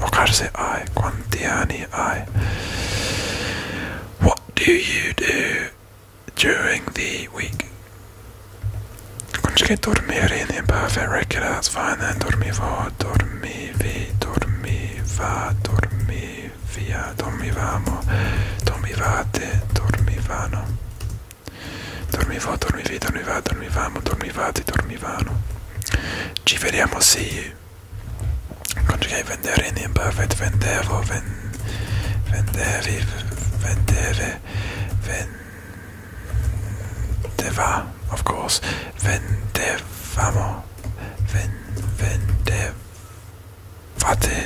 [SPEAKER 1] Ocarse I. Quanti anni I? What do you do during the week? Kanske dormir in en perfect record, fine Dormivo, dorm. dormivi, dormiva, dormivia, dormivamo, dormivate, dormivano. Dormivo, dormivi, dormiva, dormivamo, dormivate, dormivano. Ci vediamo, sì. Conjugai vendere in imperfect, vendevo, ven, vendevi, vendeve, vendeva, of course, vendevamo. vendevate,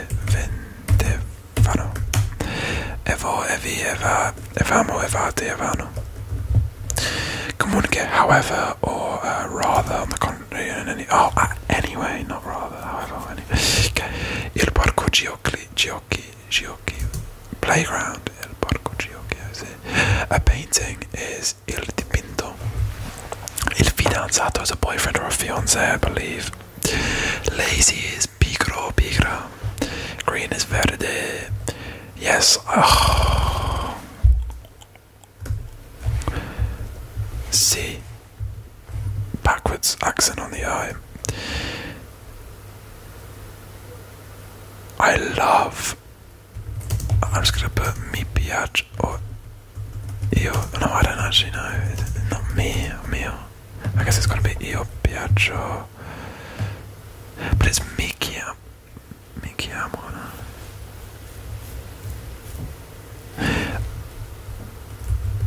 [SPEAKER 1] vendevano. Evo, evi, eva, evamo, evate, evano. Communicate, however, or uh, rather, on the contrary, in oh, uh, anyway, not rather, however, anyway. Okay. Il parco giochi, giochi, giochi. Playground, il parco giochi, I see. A painting is. Il Dipinto. Il fidanzato is a boyfriend or a fiance, I believe. Lazy is pigro, pigra. Green is verde. Yes. Oh. See. Backwards accent on the eye. I love I'm just gonna put me piace or io. No, I don't actually know. It's not me, mio. I guess it's gonna be io piaccio. But it's mi chiamo. No?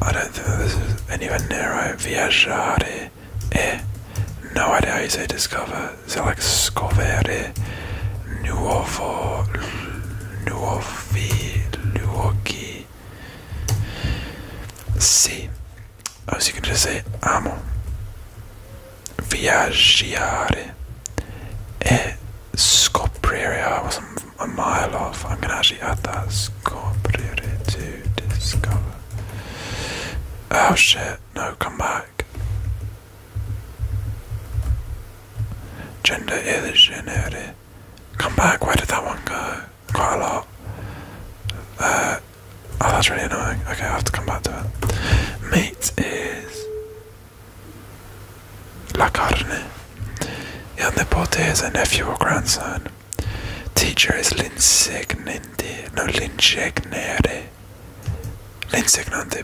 [SPEAKER 1] I don't think this is anywhere near right. Viaggiare. Eh. No idea how you say discover. scoprire nuovo, nuovi luoghi. Sì, si crede se amo viaggiare e scoprire. I was a mile off. I'm gonna actually add that scoprire to discover. Oh shit, no, come back. Gender is illusionary. Come back, where did that one go? Quite a lot. Uh, oh, that's really annoying. Okay, I have to come back to it. Meat is. La carne. Il nipote is a nephew or grandson. Teacher is l'insignante. No, l'insignere. L'insignante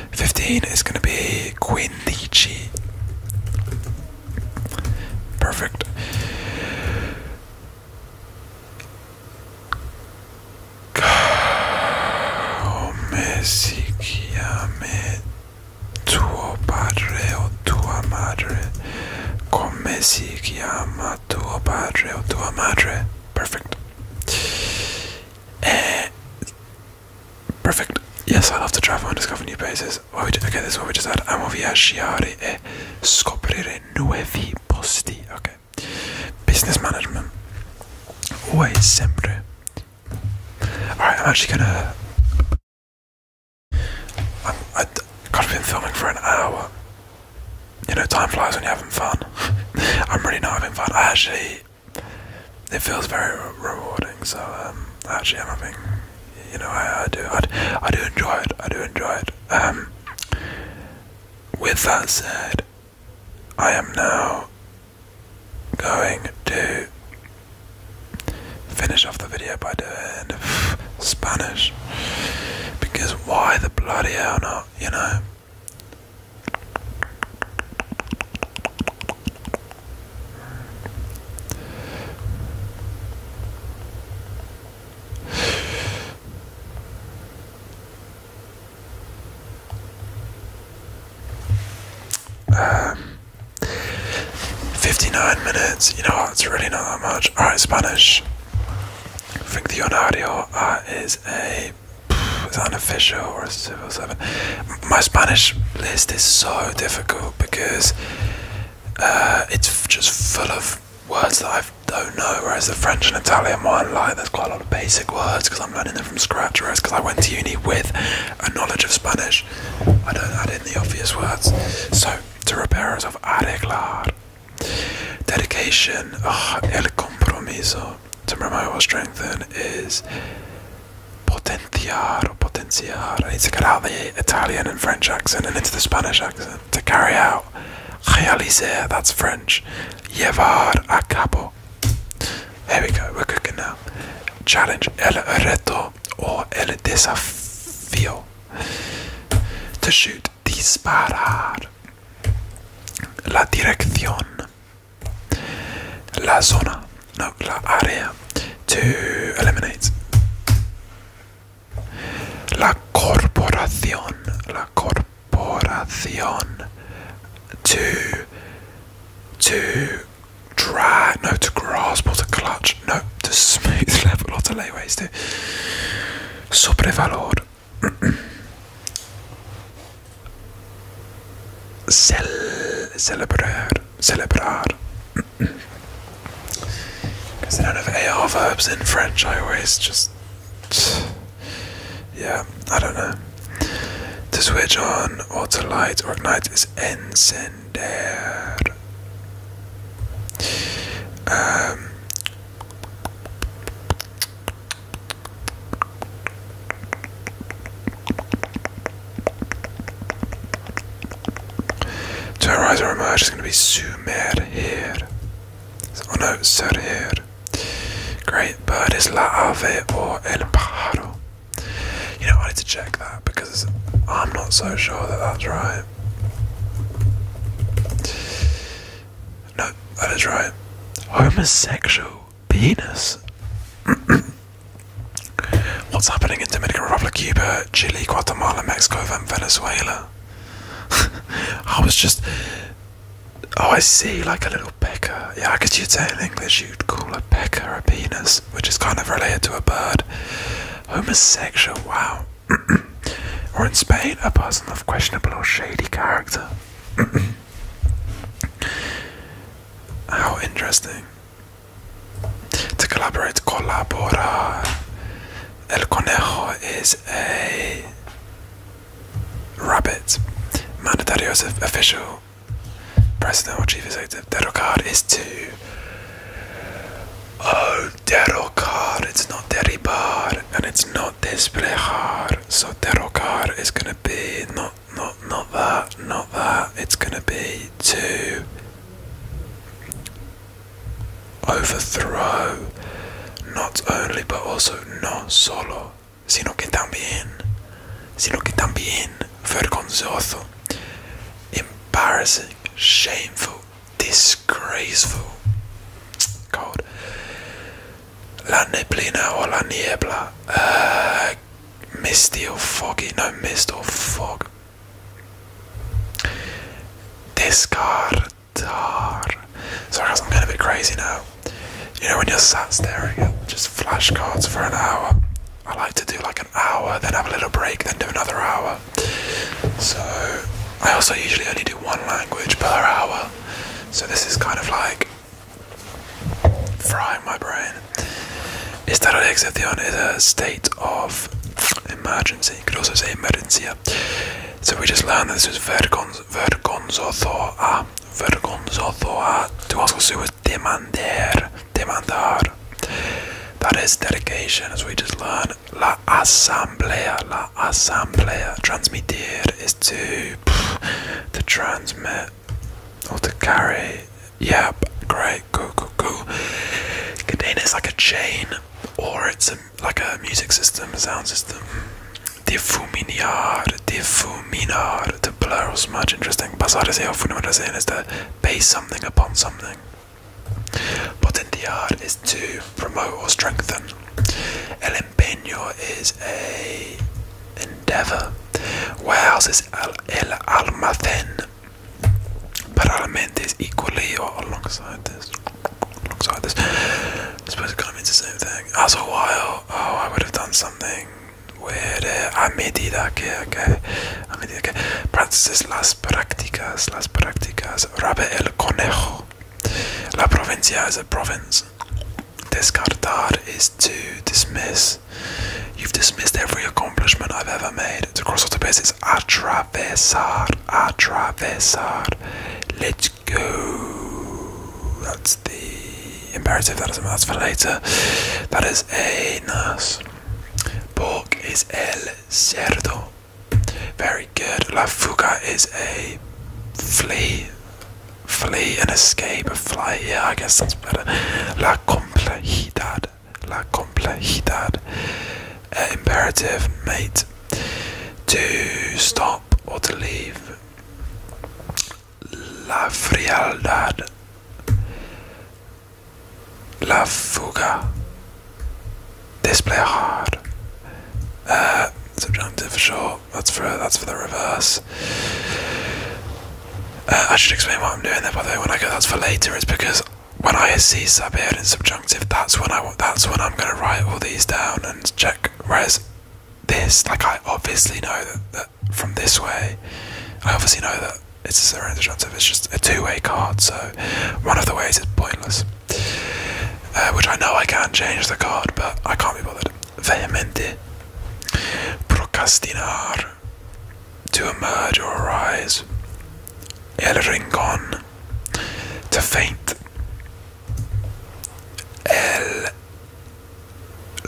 [SPEAKER 1] 15 is going to be Queen Leechy. Perfect. Come si chiama tuo padre o tua madre? Come si chiama tuo padre o tua madre? Perfect. Eh, Perfect. Yes, I love to travel and discover new places. Well, we okay, this one we just had. Amo viaggiare e scoprire nuovi posti. Okay. Business management. Always sempre. Alright, I'm actually gonna. i I've been filming for an hour. You know, time flies when you're having fun. I'm really not having fun. I actually it feels very rewarding. So um, actually, I'm having, you know, I, do, I, do enjoy it. I do enjoy it. Um, with that said, I am now going to finish off the video by doing Spanish because why the bloody hell not, you know? Um, 59 minutes, you know it's really not that much. Alright, Spanish. Ficción Audio uh, is a. Is that an official or my Spanish list is so difficult because uh, it's just full of words that I don't know, whereas the French and Italian one, like, there's quite a lot of basic words because I'm learning them from scratch, whereas because I went to uni with a knowledge of Spanish, I don't add in the obvious words. So, to repair of arreglar, dedication, el compromiso, to promote or strengthen is Potenciar or potenciar. I need to get out the Italian and French accent and into the Spanish accent to carry out. Realiser, that's French. Llevar a cabo. There we go, we're cooking now. Challenge el reto or el desafío. To shoot, disparar. La dirección. La zona, no, la área, to eliminate. La corporación, la corporación, to, to drag, no, to grasp or to clutch, no, to smooth level or to lay waste to. Sobrevalor. Cel celebrar celebrar. Because they don't have AR verbs in French, I always just. Yeah, I don't know. To switch on or to light or ignite is incendier. Um, to her or emerge is going to be Sumer here. Oh no, Ser Great bird is La Ave or El Pájaro. You know, I need to check that because I'm not so sure that that's right. No, that is right. Homosexual penis. What's happening in Dominican Republic, Cuba, Chile, Guatemala, Mexico, and Venezuela? I was just. Oh, I see, like a little pecker. Yeah, I guess you'd say in English you'd call a pecker a penis, which is kind of related to a bird. Homosexual, wow. or in Spain, a person of questionable or shady character. How interesting. To collaborate, colabora. El conejo is a rabbit. Mandatario is official. President or chief executive. Derocar is to. Oh, derocar. It's not deribar and it's not hard. So derocar is gonna be not not not that not that it's gonna be to overthrow not only but also not solo sino que también sino que también vergonzoso embarrassing shameful disgraceful cold la neblina or la niebla uh, misty or foggy no mist or fog Descartar. Sorry, guys, I'm getting a bit crazy now. You know, when you're sat staring at just flashcards for an hour, I like to do like an hour, then have a little break, then do another hour. So, I also usually only do one language per hour. So, this is kind of like frying my brain. Is that Is a state of emergency. You could also say emergencia. So we just learned that this was vergonzothoa. Vergonzothoa. Ah, ah, to ask also was demander. Demandar. That is dedication, as we just learned. La asamblea. La asamblea. Transmitir is to, to transmit or to carry yeah, great, cool, cool, cool. Container is like a chain, or it's a, like a music system, a sound system. Difuminar, difuminar. To blur or smudge, interesting. Pasar is here, fundamental is to base something upon something. Potentear is to promote or strengthen. El empeño is a endeavor. else is el almacén. Parala Mendes equally or alongside this. Alongside this. this suppose it kind of means the same thing. As a while, oh, I would have done something weirder. A medida que, okay. A medida que. Practices las prácticas, las prácticas. Rabe el conejo. La provincia is a province. Descartar is to dismiss. You've dismissed every accomplishment I've ever made. To cross off the base, it's atravesar, atravesar. Let's go. That's the imperative. That is that's for later. That is a nurse. Pork is el cerdo. Very good. La fuga is a flea, flea, and escape. A fly. Yeah, I guess that's better. La complejidad la complejidad, uh, imperative, mate, to stop or to leave, la frialdad, la fuga, displejar, uh, subjunctive for sure. That's for that's for the reverse. Uh, I should explain what I'm doing there, by the way. When I go that's for later, it's because when I see subhead and subjunctive, that's when I that's when I'm gonna write all these down and check. Whereas this, like I obviously know that, that from this way, I obviously know that it's a surrender subjunctive. It's just a two-way card, so one of the ways is pointless. Uh, which I know I can not change the card, but I can't be bothered. Vehemente. Procrastinar to emerge or arise. El Rincon, to faint. El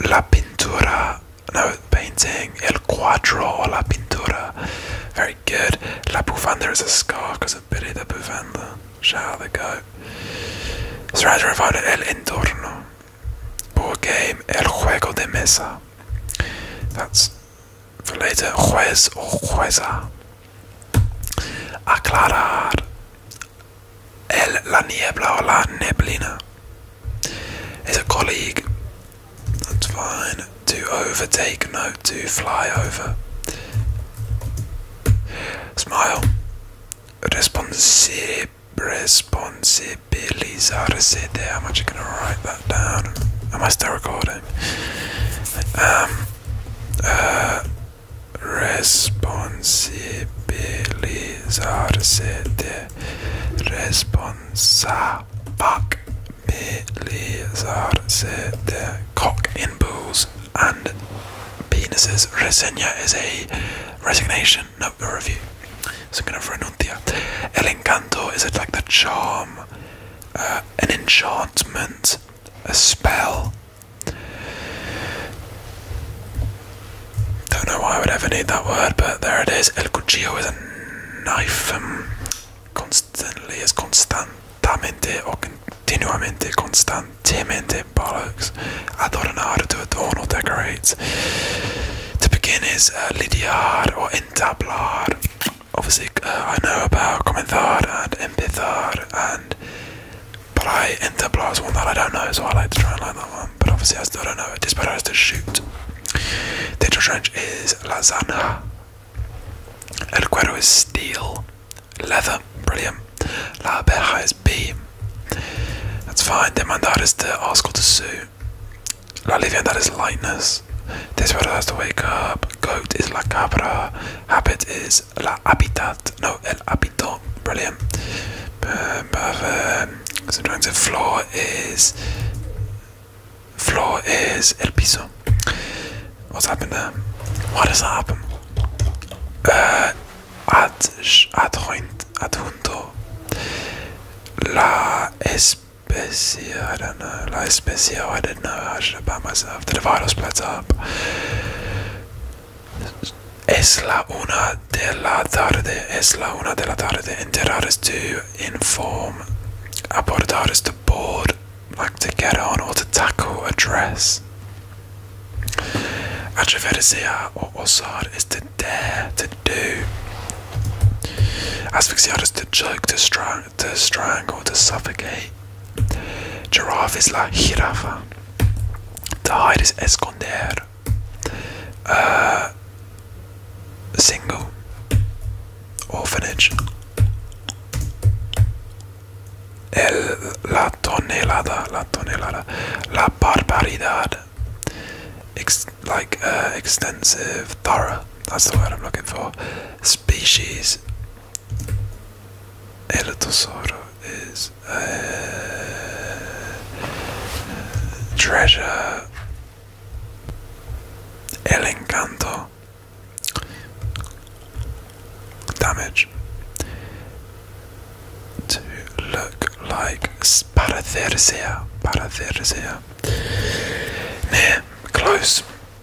[SPEAKER 1] La Pintura, no, painting. El Cuadro or La Pintura, very good. La Bufanda is a scar because of Billy the Bufanda. Shout out the goat. Surrounded and El Entorno. Board game El Juego de Mesa. That's related juez oh, Aclarar. El, la niebla o la neblina. Is a colleague. That's fine. To overtake, no, to fly over. Smile. Responsive. Responsive. Billy's Odyssey there. I'm actually going to write that down. Am I still recording? Um, uh, responsabilizarse de responsabilizarse de cock in bulls and penises. Reseña is a resignation, not a review. So I'm going to El encanto is it like the charm, uh, an enchantment, a spell? Don't know why I would ever need that word, but there it is. El cuchillo is a knife. Um, constantly is constantemente, or continuamente, constantemente bollocks. Adornar to adorn or decorate. To begin is uh, lidiar or entablar obviously uh, I know about Commentar and Empithar and but I Interplar one that I don't know so I like to try and learn that one but obviously I still don't know it. Disparo is to shoot. Digital Trench is Lasagna. El Cuero is steel. Leather, brilliant. La Abeja is beam. That's fine. Demandar is to ask or to sue. La Livia, that is lightness. Desperado has to wake up. Goat is la cabra. Habit is la habitat. No, el habito. Brilliant. Subjunctive floor is. Floor is el piso. What's happened there? What does that happen? Uh, ad, adjunto. La es Space I don't know. Like space I didn't know. I should have by myself. The divider splits up. Es la the de la tarde. Es la una de la tarde. Enterar is to inform. Abordar is to board, like to get on or to tackle, a address. Atreverse or osar is to dare, to do. Asphyxiar is to joke, to strangle to strangle,
[SPEAKER 2] to suffocate. Giraffe is la jirafa. To hide is
[SPEAKER 1] esconder. Uh, single. Orphanage. El, la tonelada, la tonelada, la barbaridad like uh, extensive, thorough. That's the word I'm looking for. Species. Elotosoro is uh, treasure. El Damage. To look like Paratheresia. Paratheresia. Near, close.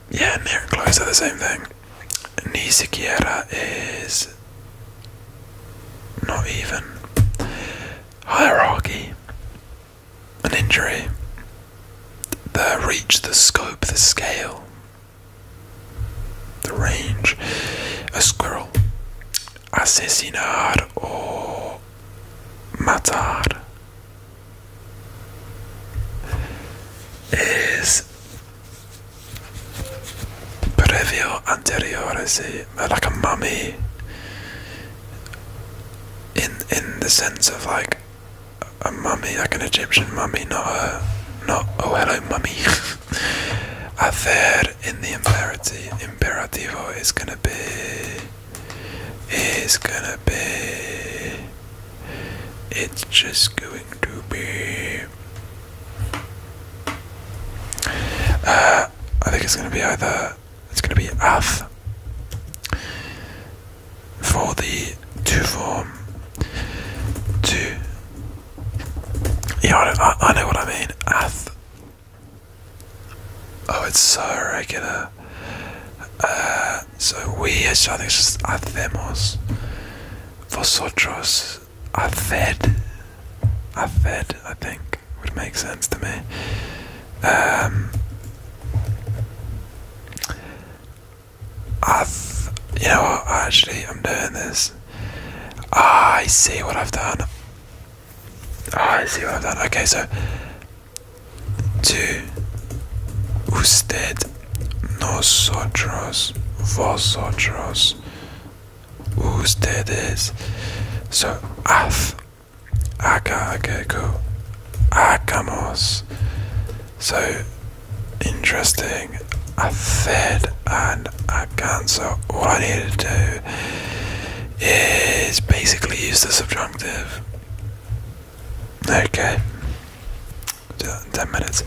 [SPEAKER 1] Yeah, near and close are the same thing. Ni is not even. Hierarchy. An injury. The reach, the scope, the scale, the range. A squirrel. Asesinar or matar is previo anteriores like a mummy in in the sense of like a mummy like an Egyptian mummy not a not oh hello mummy A third in the imperativo is gonna be it's gonna be. It's just going to be. Uh, I think it's gonna be either. It's gonna be Ath for the two form. Two. Yeah, I, know what I mean. Ath. Oh, it's so regular. So we, Uh, soy ellos hacemos. Vosotros haced. Haced, I think, would make sense to me. Um, I've, you know what, actually, I'm doing this. I see what I've done. I see what I've done. Okay, so de usted, nosotros, vosotros, ustedes. So, af, aka, akeko, hagamos. So, interesting. I fed and I can. So all I need to do is basically use the subjunctive Okay. Ten minutes.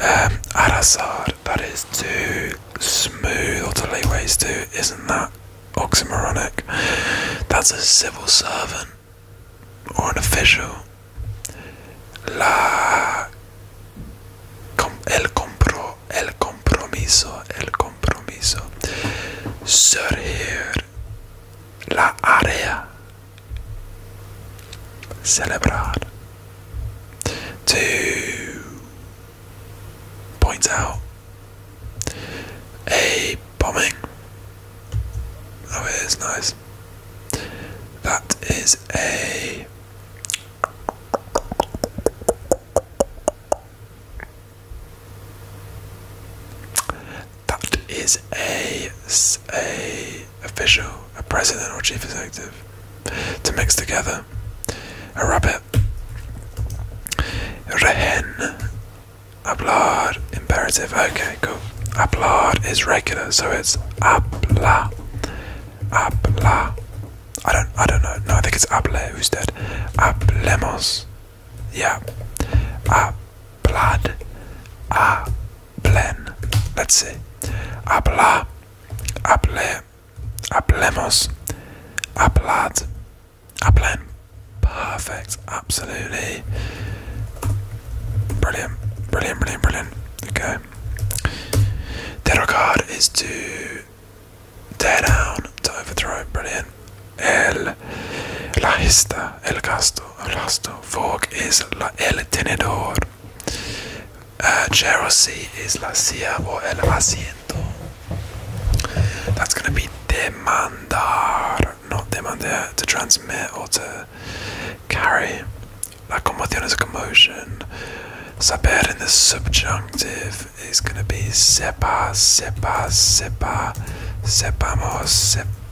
[SPEAKER 1] Um, Al-Assad, that is too smooth or to lay waste to. Isn't that oxymoronic? That's a civil servant or an official. La el compromiso el compromiso surgir la área celebrar to point out a bombing oh it is nice that is a that is a, a official, a president or chief executive. To mix together. A rabbit. Rehen. Hablar imperative. Okay, cool. Hablar is regular, so it's habla. Habla. I don't I don't know. No, I think it's hable. Who's dead? Hablemos. Yeah. A blood. A plan. Let's see. Habla. Hable. Hablemos. Hablad. Hablen. Perfect. Absolutely. Brilliant. Brilliant, brilliant, brilliant. Okay. Derogard is to tear down, to overthrow. Brilliant el, la lista, el gasto, el gasto. Vogue is la, el tenedor. Uh, jealousy is la siervo, el asiento. That's going to be demandar, not demandar, to transmit or to carry. La conmoción is a commotion. Saber in the subjunctive is going to be sepa, sepa, sepa, sepamos, sepa.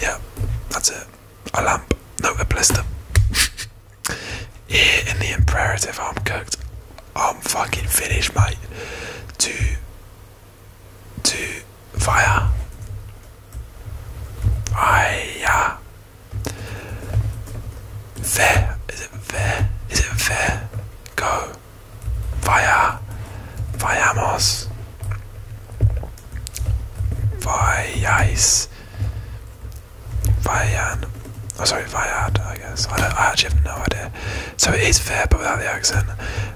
[SPEAKER 1] Yeah, that's it. A lamp, no, a blister. Here in the imperative, I'm cooked. I'm fucking finished, mate. To, to fire. Fire. There. Is it
[SPEAKER 2] Is it fair? Go. Fire. Vayamos.
[SPEAKER 1] Viais. Vian. Oh, sorry, Viad, I guess. I, actually have no idea. So it is fair, but without the accent.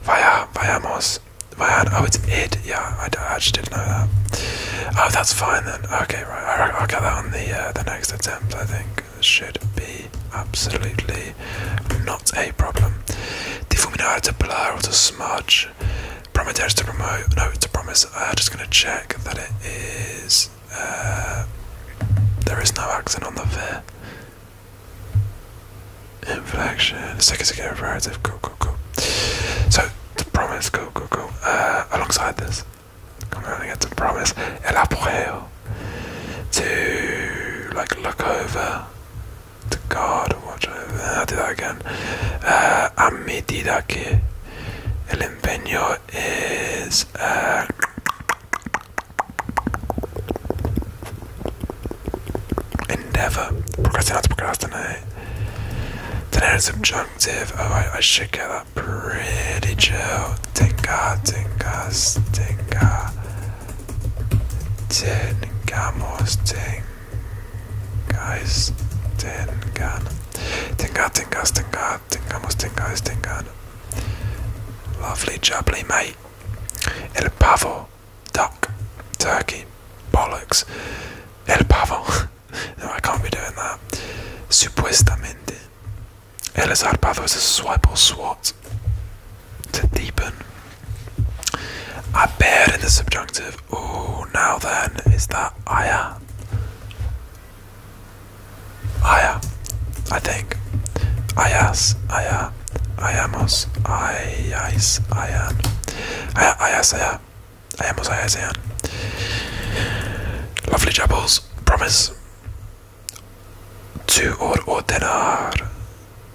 [SPEAKER 1] Vaya, vayamos. Vian. Oh, it's id. Yeah, I, I, actually didn't know that. Oh, that's fine then. Okay, right. I, will get that on the, uh, the next attempt, I think. It should be absolutely not a problem. Difuminar to blur or to smudge. Promoteers to promote. No, it's a promise. I'm uh, just going to check that it is. Uh, there is no accent on the V. Inflection. Second second imperative. Cool, cool, cool. So, to promise. Cool, cool, cool. Uh, alongside this. Come on, I get to promise. El To, like, look over to God, watch over uh, again. Uh, a medida que el empeño es uh, endeavor, procrastinate, procrastinate. Tener subjunctive. Oh, I, should get that pretty chill. Tenga, tengas, tenga. Tengamos, tenga guys tengan tenga tengas tenga tengamos tengas tengan lovely jubbly mate el pavo duck turkey bollocks el pavo no I can't be doing that supuestamente el zarpazo es a swipe or swat to deepen I bear in the subjunctive. Oh, now then, is that aya? Aya, I think. Ayas, aya, ayamos, ayais, ayan. Aya, ayas, aya, ayamos, ayas, ayan. Lovely chapels, promise. to or ordenar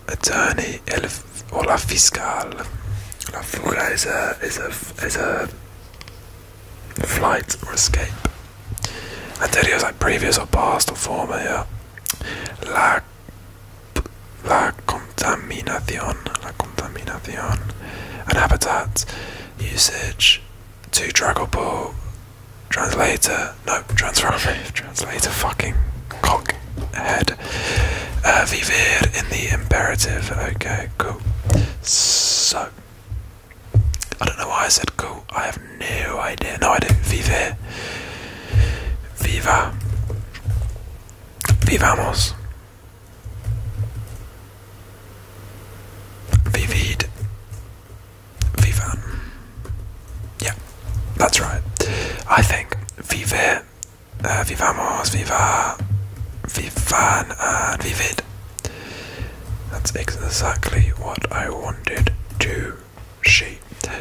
[SPEAKER 1] attorney el, o la fiscal. La fuga is a is a is a flight or escape. Anterior is like previous or past or former. La la contaminación, la contaminación, and habitat usage. To drag or pull. Translator. nope. transformative. Translator. Fucking cockhead said. Uh, vivir in the imperative. Okay, cool. So, I don't know why I said cool. I have no idea. No, I didn't. Vivir. Viva. Vivamos. Vivid. Vivan. Yeah, that's right. I think vivir
[SPEAKER 2] vivamos, uh, viva, vivan, and uh, vivid. That's exactly what I wanted to see.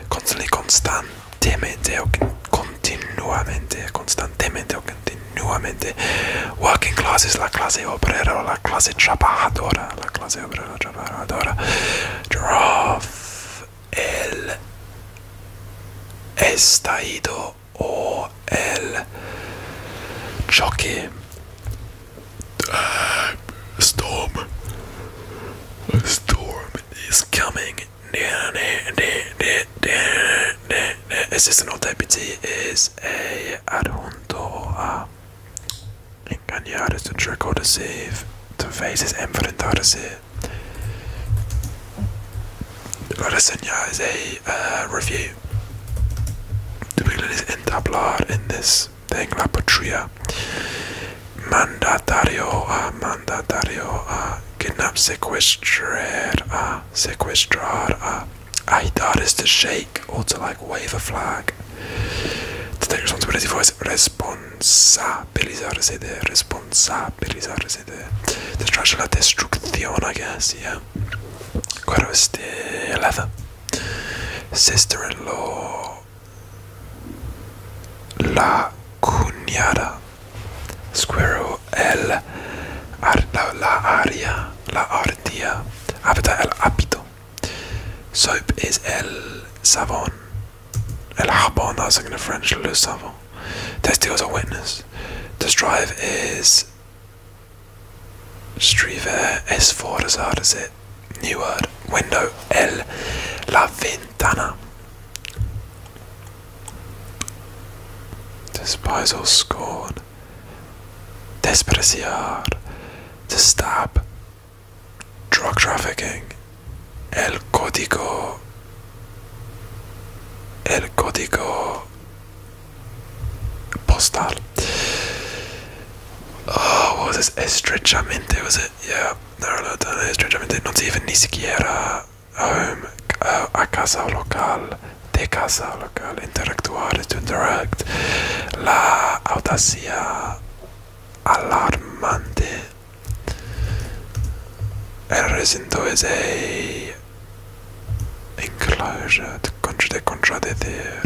[SPEAKER 2] Constantly, constantemente,
[SPEAKER 1] o continuamente, constantemente, o continuamente. Working classes, is la clase obrera, la clase trabajadora, la clase obrera trabajadora. Giraffe el estallido o el choque uh, storm a storm is coming assistant deputy is a adjunto a engañar es to trick or deceive to face is enfrentarse La reseña is a uh, eh, review. es entablar en this thing la patria. Mandatario a ah, mandatario a ah, kidnap, ah, sequestrar a sequestrar a. Agitar to shake or to like wave a flag. To take responsibility for is responsabilizarse de responsa capitalizarse the la destrucción, I guess, yeah. Claro, este, Sister-in-law. La cuñada. Squirrel, el, la, Aria la ardilla. Habita ah, el hábito. Soap is el savon, El jabón, I en el French, le savon. Testicles a witness. The strive is Striver s for as hard as it. New word. Window L La Ventana. Despise or scorn. Despreciar. To stab. Drug trafficking. El Código el código postal oh, ah, es estrechamente was it yeah, no, no, no, estrechamente no si ni siquiera uh, a, casa local de casa local interactuar to interact la audacia alarmante el recinto es Enclosure, the contra de contra de there.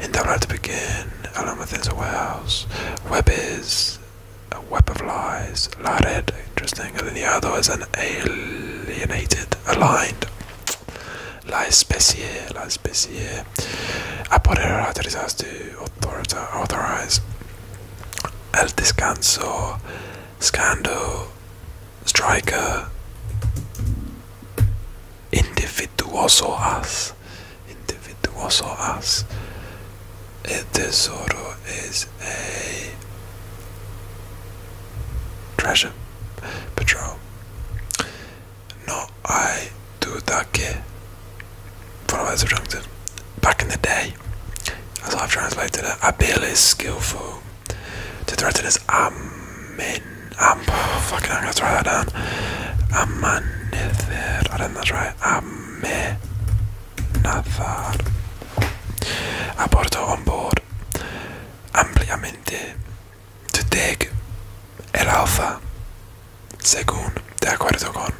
[SPEAKER 1] In the right to begin, along within the warehouse. Web is a web of lies. La red, interesting. other is an alienated, aligned. La especie, la especie. Apoderar, autorizado, authorize. El descanso. Scandal, Striker, individual
[SPEAKER 2] As, Individuoso As. El Tesoro
[SPEAKER 1] is a treasure patrol. No hay duda que. Follow the subjunctive back in the day, as I've translated it, Abil is skillful. To threaten is Amin. Am, oh, fucking, I'm gonna try that down. Amanithir. I don't think that's right. Amenathar. Aborto on board. Ampliamente. To dig. El alfa. Según. De acuerdo con.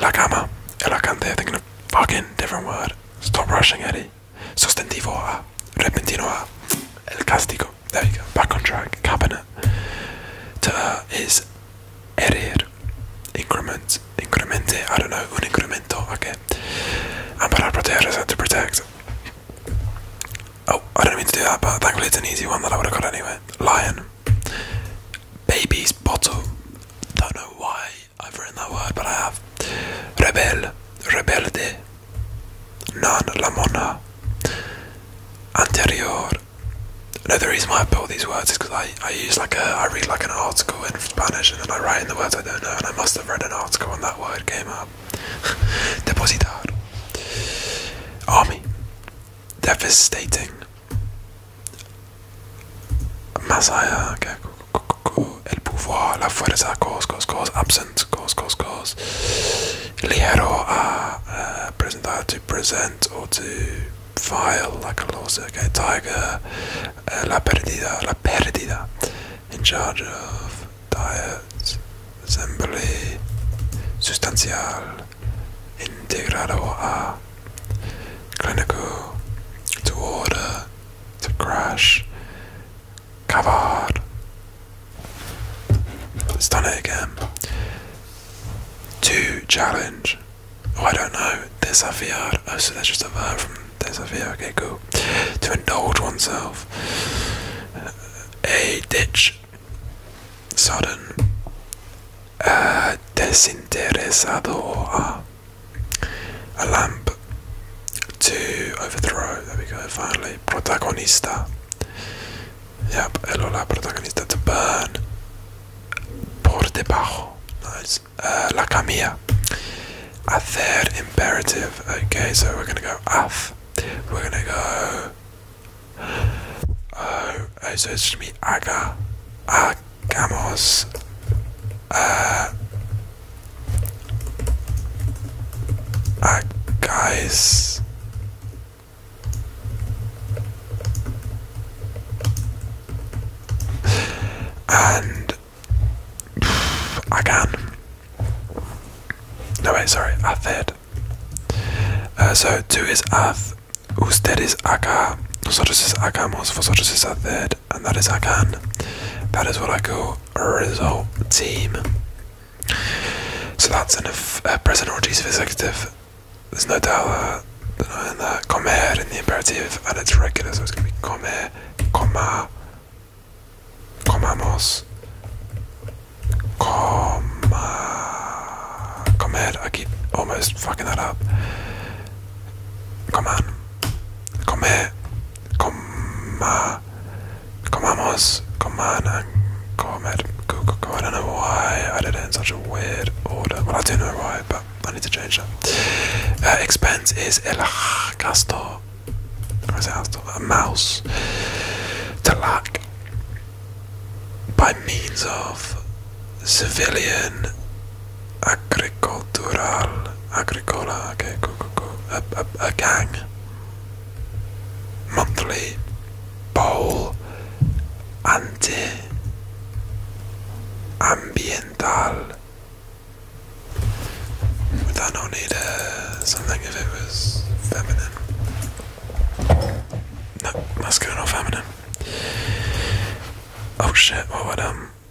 [SPEAKER 1] La cama. El alcance. Thinking of fucking different word. Stop rushing, Eddie. Sustantivo A. Repentino A. El castigo. There you go. Back on track. Cabinet. To is erir. Increment. Incremente. I don't know. Un incremento. Okay. And para proteger is to protect. Oh, I don't mean to do that, but thankfully it's an easy one that I would have got anyway. Lion. Baby's bottle. Don't know why I've written that word, but I have. Rebel, rebelde. Non, la mona. Anterior. No, the reason why I put these words is because I, I use like a, I read like an article in Spanish and then I write in the words I don't know and I must have read an article when that word came up. Depositar. Army. Devastating. más allá que el pouvoir, la fuerza, Cause absent, ligero a eh, presentar, to present or to file, la que tiger, eh, la pérdida, la pérdida, in charge of diet, assembly, sustancial, integrado a, clinical, to order, to crash. Cavard. It's done it again. To challenge. Oh, I don't know. Desafiar. Oh, so that's just a verb from desafiar. Okay, cool. To indulge oneself. Uh, a ditch. Sudden. Uh, desinteresado. Ah a lamp to overthrow. There we go, finally. Protagonista. Yep, el hola, protagonista to burn. Por debajo. Nice. Uh, la camilla. Hacer imperative. Okay, so we're gonna go af. We're gonna go. Uh, oh, so it's just gonna be aga. Ag. Vamos. Uh, uh, guys. And pff, I can. No wait, sorry, Athed. Uh, so two is Ath, ustedes acá, nosotros es hagamos, vosotros es Athed and that is I can. That is what I call a result team. So that's an uh, present or accusative executive. There's no doubt uh, denying that. Comer in the imperative and it's regular, so it's going to be comer, coma, comamos, coma, comer. I keep almost fucking that up. Come on come, coma, uh, comamos, coman, and comer. I
[SPEAKER 2] don't know why I did it in such a weird order. Well, I do know why, but I need to change that. Uh,
[SPEAKER 1] expense is el gasto. Or is it gasto? A mouse. To lack by means of civilian agricultural, agricola, okay, cool, A, a, a gang. Monthly, bowl, anti, ambiental. Would that need uh, something if it was feminine? No, masculine or feminine. Oh shit, what would um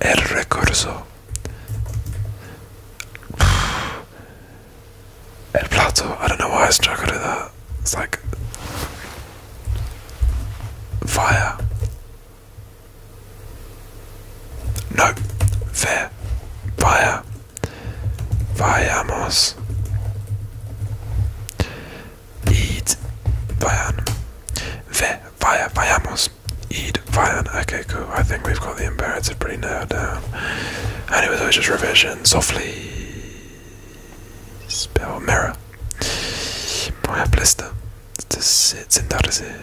[SPEAKER 1] el recurso, el plato. I don't know why I struggled with that. It's like fire. No, fair. Fire. Vayamos. Eat. Vayan. Ve. Fire, vayamos. Eid, fire. Okay, cool. I think we've got the imperative pretty nailed down. Anyway, so just revision. Softly. Spell mirror. Moja blista. Sentarse.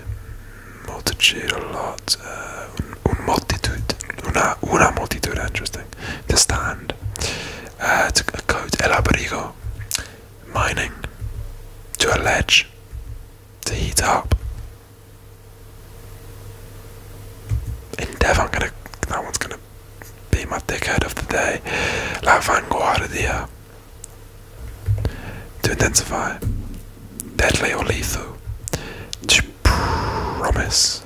[SPEAKER 1] Multitude, a lot. Uh, un multitude. Una, una multitude, interesting. To stand. Uh, to a coat. El abrigo. Mining. To allege to heat up. Endeavour, I'm gonna. That one's gonna be my dickhead of the day. La Vanguardia. To intensify. Deadly or lethal. To promise.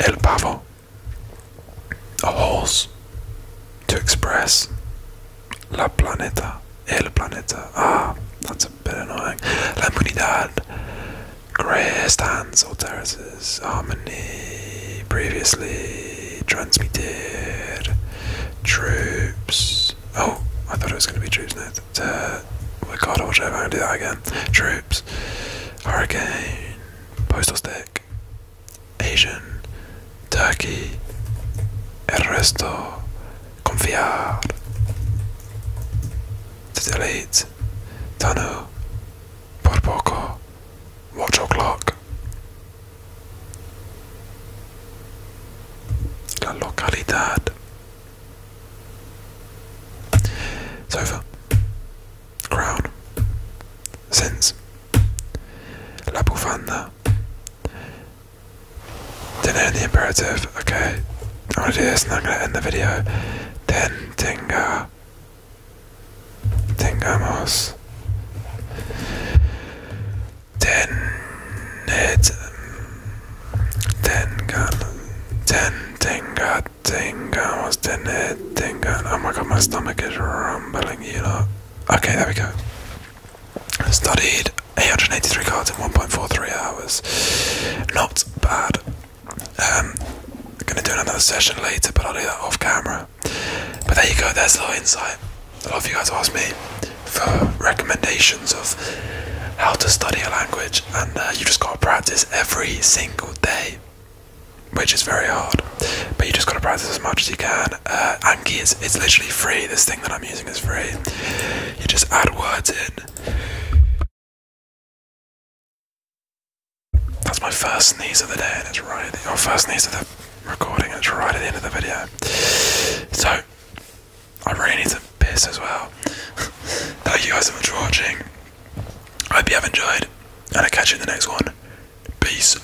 [SPEAKER 1] El Pavo. A horse. To express. La planeta. El planeta. Ah, that's a bit annoying. La comunidad. Grey stands or terraces. Harmony. Previously transmitted. Troops. Oh, I thought it was going to be troops next. Uh, oh god, I am gonna do that again. Troops. Hurricane. Postal stick. Asian, Turkey, el resto, confiar, to delete, Tanu, por poco, watch o'clock. La localidad. Sofa. Crown. Sins. La bufanda. Dinner in the imperative. Okay. I'm gonna do this and I'm gonna end the video. Then Tinga. Tingamos. Ten it Ten gun Ten Tinga Tingamos Ten it Tinga Oh my god my stomach is rumbling you know. Okay there we go. Studied 883 cards in 1.43 hours. Not bad. Um, I'm gonna do another session later, but I'll do that off camera. But there you go. There's a little insight. A lot of you guys asked me for recommendations of how to study a language, and uh, you just gotta practice every single day, which is very hard but you just got to practice as much as you can. Uh, Anki is it's literally free. This thing that I'm using is free. You just add words in. That's my first sneeze of the day, and it's right at the
[SPEAKER 2] first sneeze of the recording, and it's right at the end of the video. So I really need to piss as well. Thank you guys so much for watching. I hope you have enjoyed, and I'll catch you in the next one. Peace.